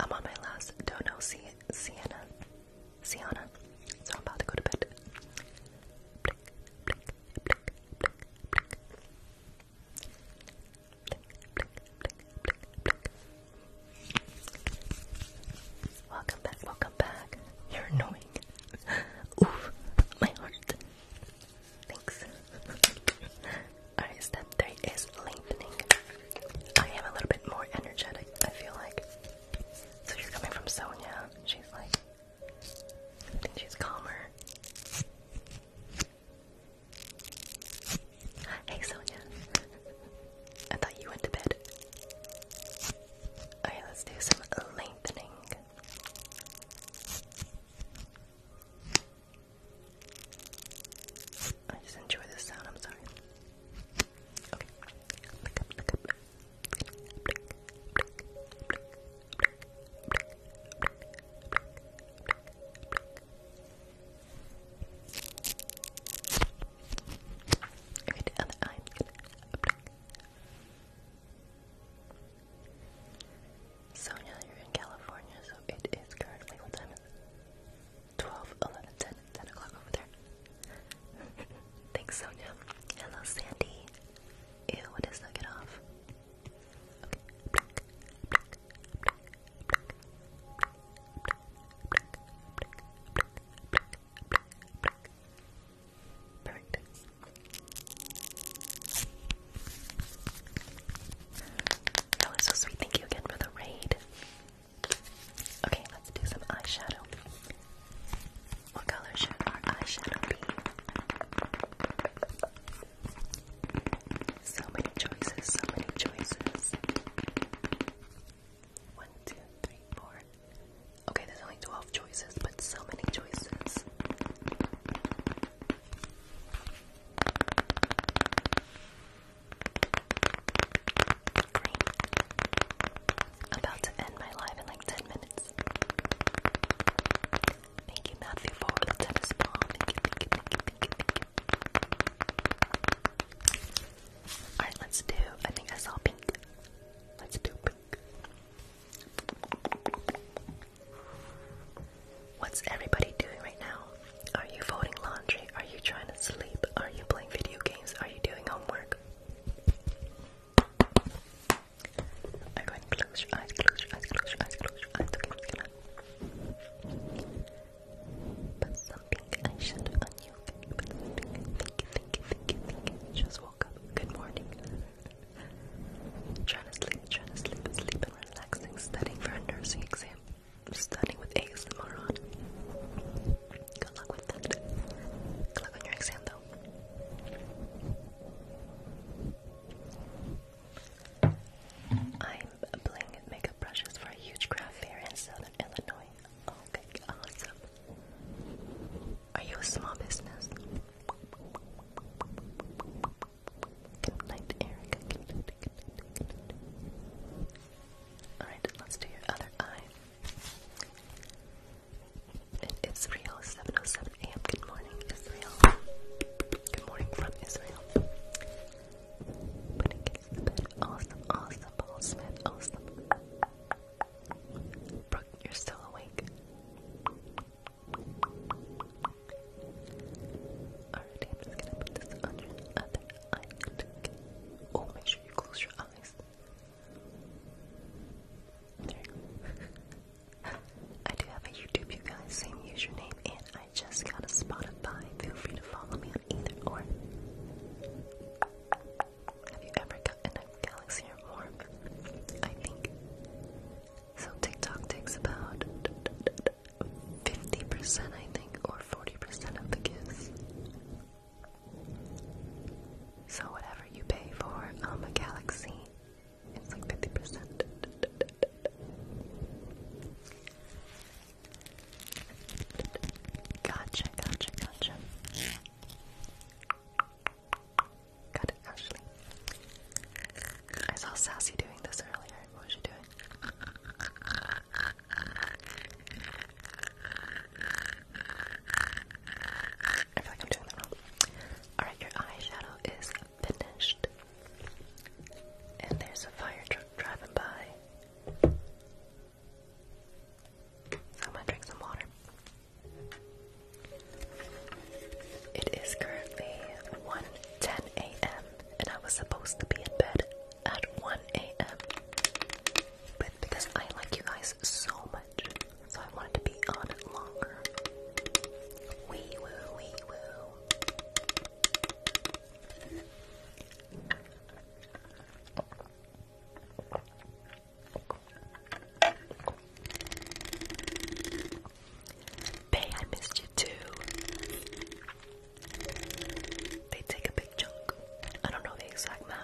I'm on my last dono, Sienna. Sienna. So I'm about to go to bed. Welcome back, welcome back. You're annoying. Oof, my heart. Thanks. Alright, step three is lengthening. I am a little bit more energetic, I feel like. So you're coming from Sonia. She's like and she's calmer. Hey, Sonia. I thought you went to bed. Okay, let's do some lengthening. I just enjoy this sound, I'm sorry. Okay. Look up, look up. Right, the other eye. Sonia, you're in California, so it is currently what time is o'clock over there. Thanks, Sonia. Hello, Sandy. Ew, what is that? Get off. Perfect. so sweet. Thank you again for the raid. Okay, let's do some eyeshadow. What color should our eyeshadow be? So many choices, so many choices. One, two, three, four. Okay, there's only 12 choices, but so many choices. Green. About to end my live in like 10 minutes. Alright, let's do, I think I saw pink. Let's do pink. What's everybody doing right now? Are you folding laundry? Are you trying to sleep? Are you playing video games? Are you doing homework? I'm going to close your eyes, close your eyes, close your eyes, close your eyes. Okay, I'm put something eyeshadow on you. Okay, put something. Thank Just woke up. Good morning. trying to sleep, trying to sleep, sleep and relaxing. Studying for a nursing exam. Studying with ASMR on. Good luck with that. Good luck on your exam, though. I'm applying makeup brushes for a huge craft fair in southern Illinois. Okay, awesome. Are you a small business? Good night, Erica. Alright, let's do your other eye in Israel. 7:07 a.m. Good morning, Israel. Good morning from Israel. Putting kids to bed. Awesome, awesome, Paul Smith. Awesome. Brooke, you're still awake. Alrighty, I'm just gonna put this on your other eye. Oh, make sure you close your eyes. There you go. I do have a YouTube, you guys, same username, and I just got a Spotify. Feel free to follow me on either or. Have you ever gotten a galaxy or more? I think. So TikTok takes about 50%, I think, or 40% of the gifts. So whatever you pay for, um, a galaxy it's like 50%. Gotcha, gotcha, gotcha. Got it, Ashley. I saw Sassy doing this earlier. What was she doing? I feel like I'm doing that wrong. Alright, your eyeshadow is finished. And there's a fire truck driving by. I'm gonna drink some water. It is currently 1:10 a.m. and I was supposed to be in bed at 1 a.m. But because I like you guys so much, so I wanted to be on it longer. Wee woo, wee woo. Bay, I missed you too. They take a big chunk. I don't know the exact math.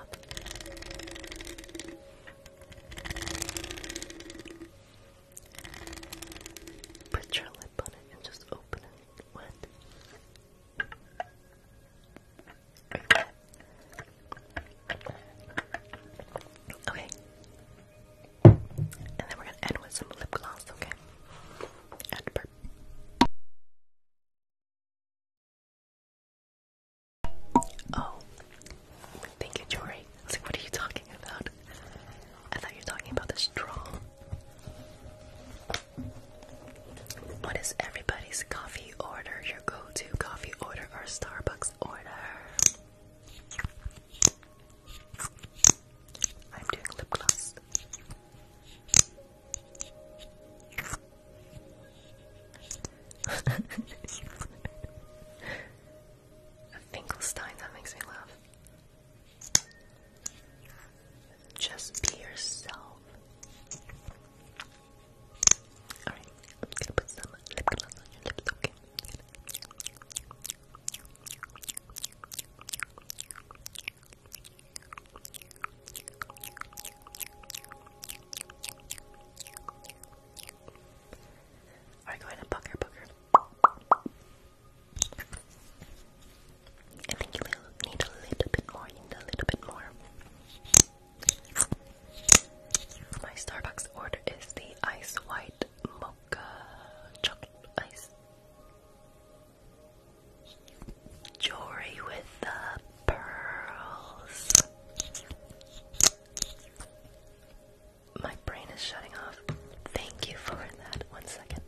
Put your lip on it and just open it. What? Okay. And then we're gonna end with some lip gloss, okay? Oh, Thank you, Jory. I was like, what are you talking about? I thought you were talking about the straw. What is everybody's coffee order? Your go-to coffee order or Starbucks order? I'm doing lip gloss. A Finkelstein, that makes me laugh. Just be yourself. Alright, I'm gonna put some lip gloss on your lips, okay? Alright, go ahead and pucker, pucker. I think you will need a little bit more, need a little bit more. My Starbucks order is the ice white mocha chocolate ice. Jewelry with the pearls. My brain is shutting off. Thank you for that. One second.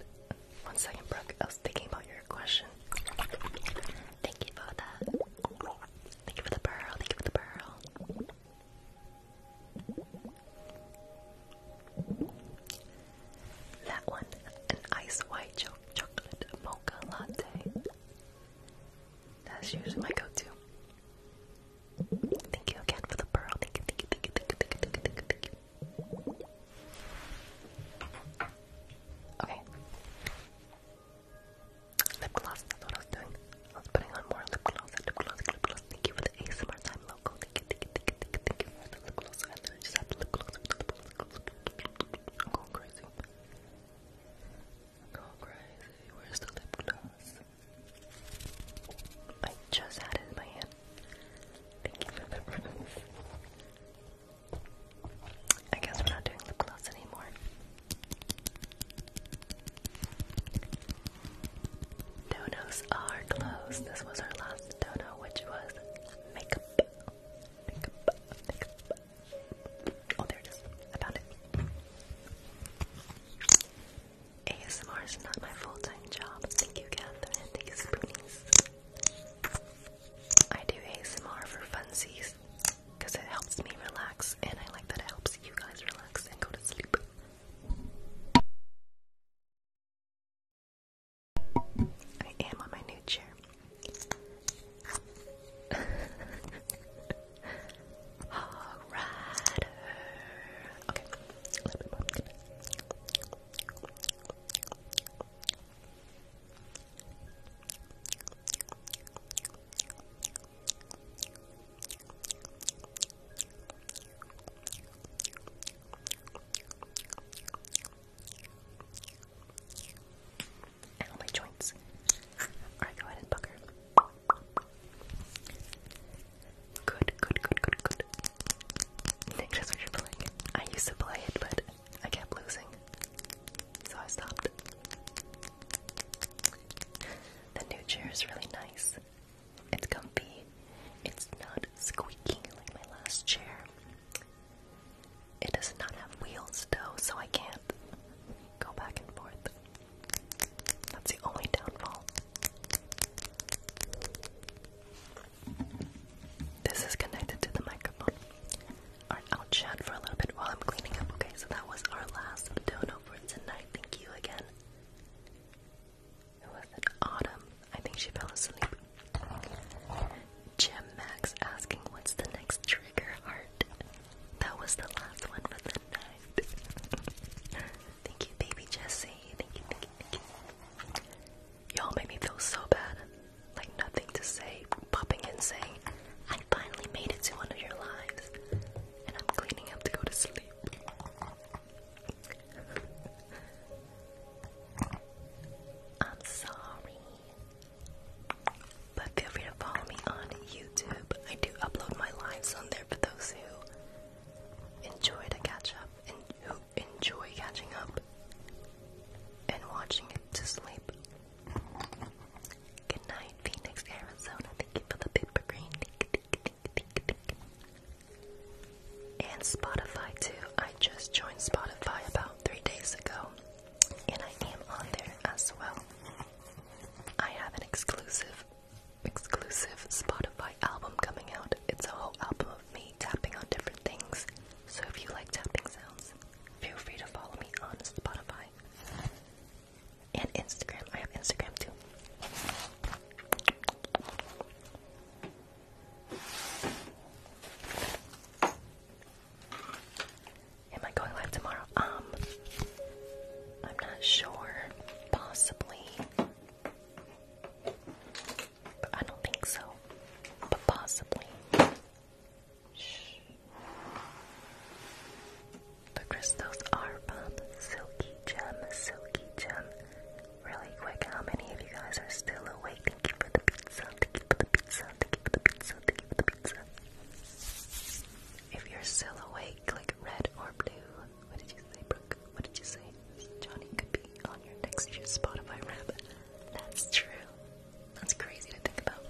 One second, Brooke. I was thinking about your question. Thank you for that. Thank you for the pearl. Thank you for the pearl. That one. An ice white chocolate mocha latte. That's usually my go to. Thank you again for the pearl. Thank you, thank you, thank you, thank you, thank you, thank you, thank you, thank you. Okay. Lip gloss, that's what I was doing. I was putting on more lip gloss, lip gloss, lip gloss. Thank you for the ASMR time Thank you, thank you, thank you, thank you, thank you for the lip gloss. I just have lip gloss. I'm going crazy. I'm going crazy. Where's the lip gloss? I just had it in my hand. Thank you for the rooms. I guess we're not doing lip gloss anymore. Donos are closed. This was our last dono, which was Makeup. Oh, there it is. I found it. ASMR is not my full-time job. Thank you, Catherine. Thank you, Spoonies. I do ASMR for funsies because it helps me relax, and I like that it helps you guys relax and go to sleep. I am on my new chair. Rider. Okay, a little my joints. Alright, go ahead and pucker. Good, good, good, good, good. that's what you're I used to play it, but I kept losing. So I stopped. The new chair is really nice. It's comfy. It's not squeaking like my last chair. It does not have wheels though, so I can't go back and forth. That's the only downfall. This is connected to the microphone. Alright, I'll chat for a little bit while I'm cleaning up. Okay, so that was our last dono for tonight. Thank you again. It was an autumn. I think she fell asleep. Jim asking, what's the next trigger heart? That was the last one for the night. Thank you, baby Jesse. Thank you, thank you, thank you. Y'all made me feel so bad. Like nothing to say, popping in saying, I finally made it to one of your lives. And I'm cleaning up to go to sleep. I'm sorry. But feel free to follow me on YouTube. I do upload my lives on there for those who enjoy the catch up and enjoy catching up and watching it to sleep. Good night, Phoenix, Arizona. Thank you for the paper green. And Spotify too. I just joined Spotify about three days ago, and I am on there as well. I have an exclusive exclusive Spotify album coming out. It's a whole album of me tapping on different things. So if you like tapping sounds, feel free to follow me on Spotify and Instagram. I have Instagram too. Am I going live tomorrow? Um, I'm not sure. Possibly. But I don't think so. But possibly. Shh. The crystals are from Silky Gem, Silky Gem. Really quick, how many of you guys are still awake? Thank you for the pizza, thank you for the pizza, thank you for the pizza, thank you for the pizza. If you're still awake, click red or blue. What did you say, Brooke? What did you say? Johnny could be on your next year's Spotify rap. That's true. That's crazy to think about.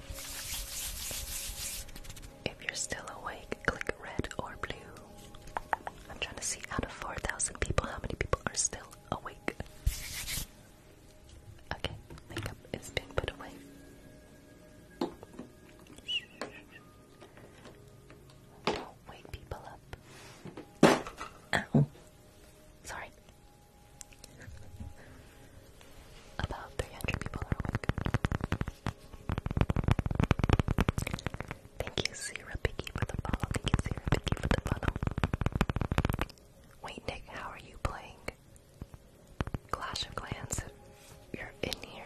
If you're still awake, click red or blue. I'm trying to see out of 4,000 people how many people are still awake. Okay, makeup is being put away wake people up. Ow. Sorry. About 300 people are awake. Thank you, Sarah Piggy, for the follow. Thank you, Sarah Piggy, for the follow. Wait, Nick, how are you playing? Clash of Clans, you're in here.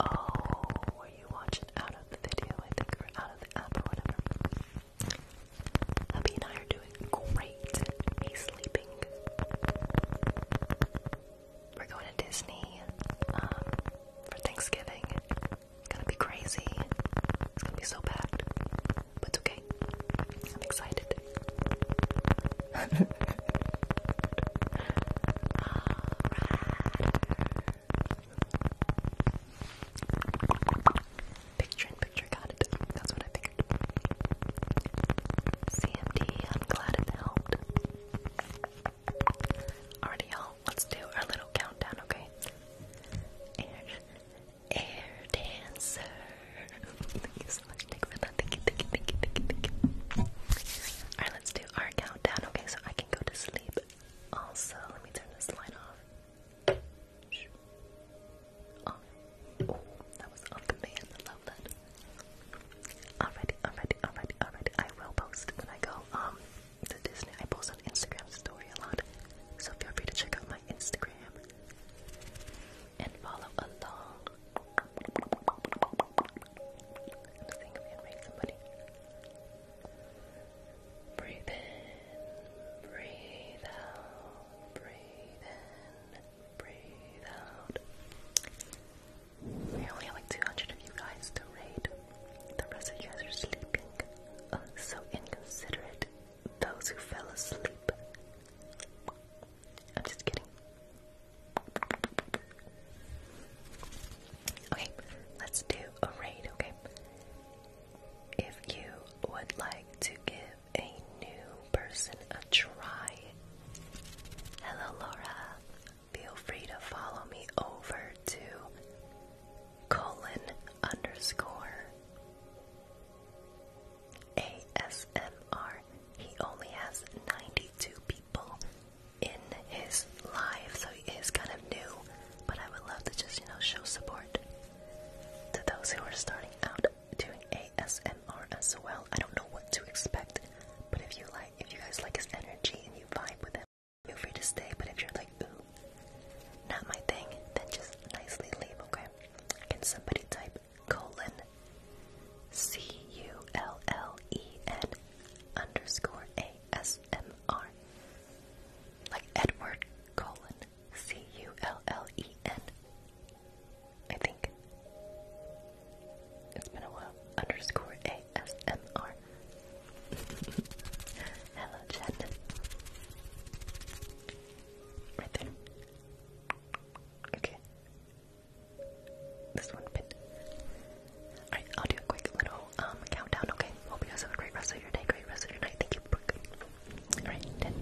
Oh, were you watching out of the video, I think, or out of the app or whatever? Abby and I are doing great. He's sleeping. We're going to Disney um, for Thanksgiving. It's gonna be crazy. It's gonna be so packed. But it's okay. I'm excited. Picture picture, got it. That's what I figured. CMD, I'm glad it helped. Alright, y'all, let's do our little countdown, okay? Air, dancer. Thank you so much, for that. Thank you, thank you, thank you, thank you, thank you. Alright, let's do our countdown, okay, so I can go to sleep. Also, let me turn this light off. Oh, that was on command. I love that. Alrighty, alrighty, alrighty, alrighty. I will post when I go um to Disney. I post on Instagram story a lot, so feel free to check out my Instagram and follow along. I think I'm gonna read somebody. Breathe in, breathe out, breathe in, breathe out. We only have like 200 of you guys to rate. The rest of you guys are sleeping. Uh, so inconsiderate. Those who fell asleep. I'm just kidding. Okay, let's do a raid, okay? If you would like to give a new person a try, hello Laura, feel free to follow me over to colon underscore ASMR. He only has 92 people in his life, so he is kind of new. But I would love to just, you know, show support to those who are starting out doing ASMR as well. I don't know what to expect, but if you like, if you guys like his energy and you vibe with him, feel free to stay. But if you're like, ooh, not my thing, then just nicely leave, okay? Can somebody type colon C U L L E N underscore A ASMR. Like Edward Cullen. C U L L E N. I think. It's been a while. Underscore ASMR. Hello, chat. Right there. Okay. This one bit. Alright, I'll do a quick little um, countdown, okay? Hope you guys have a great rest of your day, great rest of your night. Thank you, Alright, then.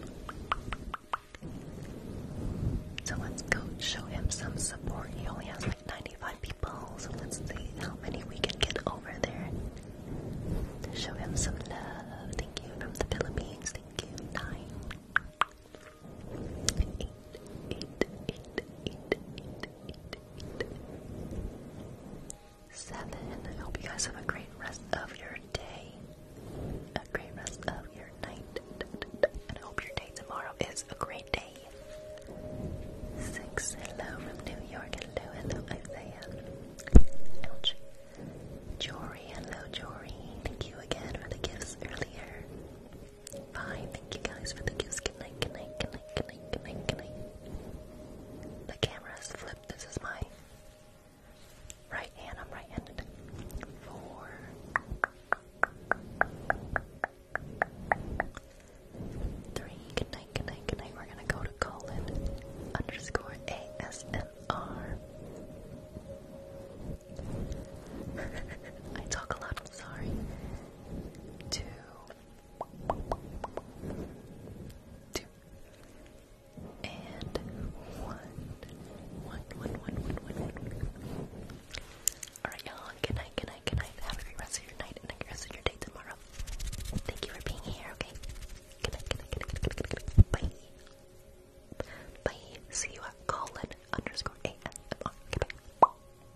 So let's go show him some support. He only has like 95 people, so let's see how many we can get over there. show him some love. Thank you from the Philippines. Thank you. Nine eight, eight, eight, I hope you guys have a great rest of your day. A great rest of your night. And I hope your day tomorrow is a great day. Six. Hello from New York. Hello, hello, Isaiah. Ouch. Jory. Hello, Jory. Thank you again for the gifts earlier. Bye. Thank you guys for the gifts. Good night, good night, good night, good night, good night, good night. The camera's flipped. This is my right hand. I'm right handed. Four. Three. Good night, good night, good night. We're gonna go to colon underscore ASMR. I talk a lot, sorry. Two two, and one. Alright, y'all. Good night, good night, good night. Have a great rest of your night and a great rest of your day tomorrow. Thank you for being here, okay? Good night, good night, good night, good night, Bye. Bye. See you at Colin underscore ASMR. Goodbye.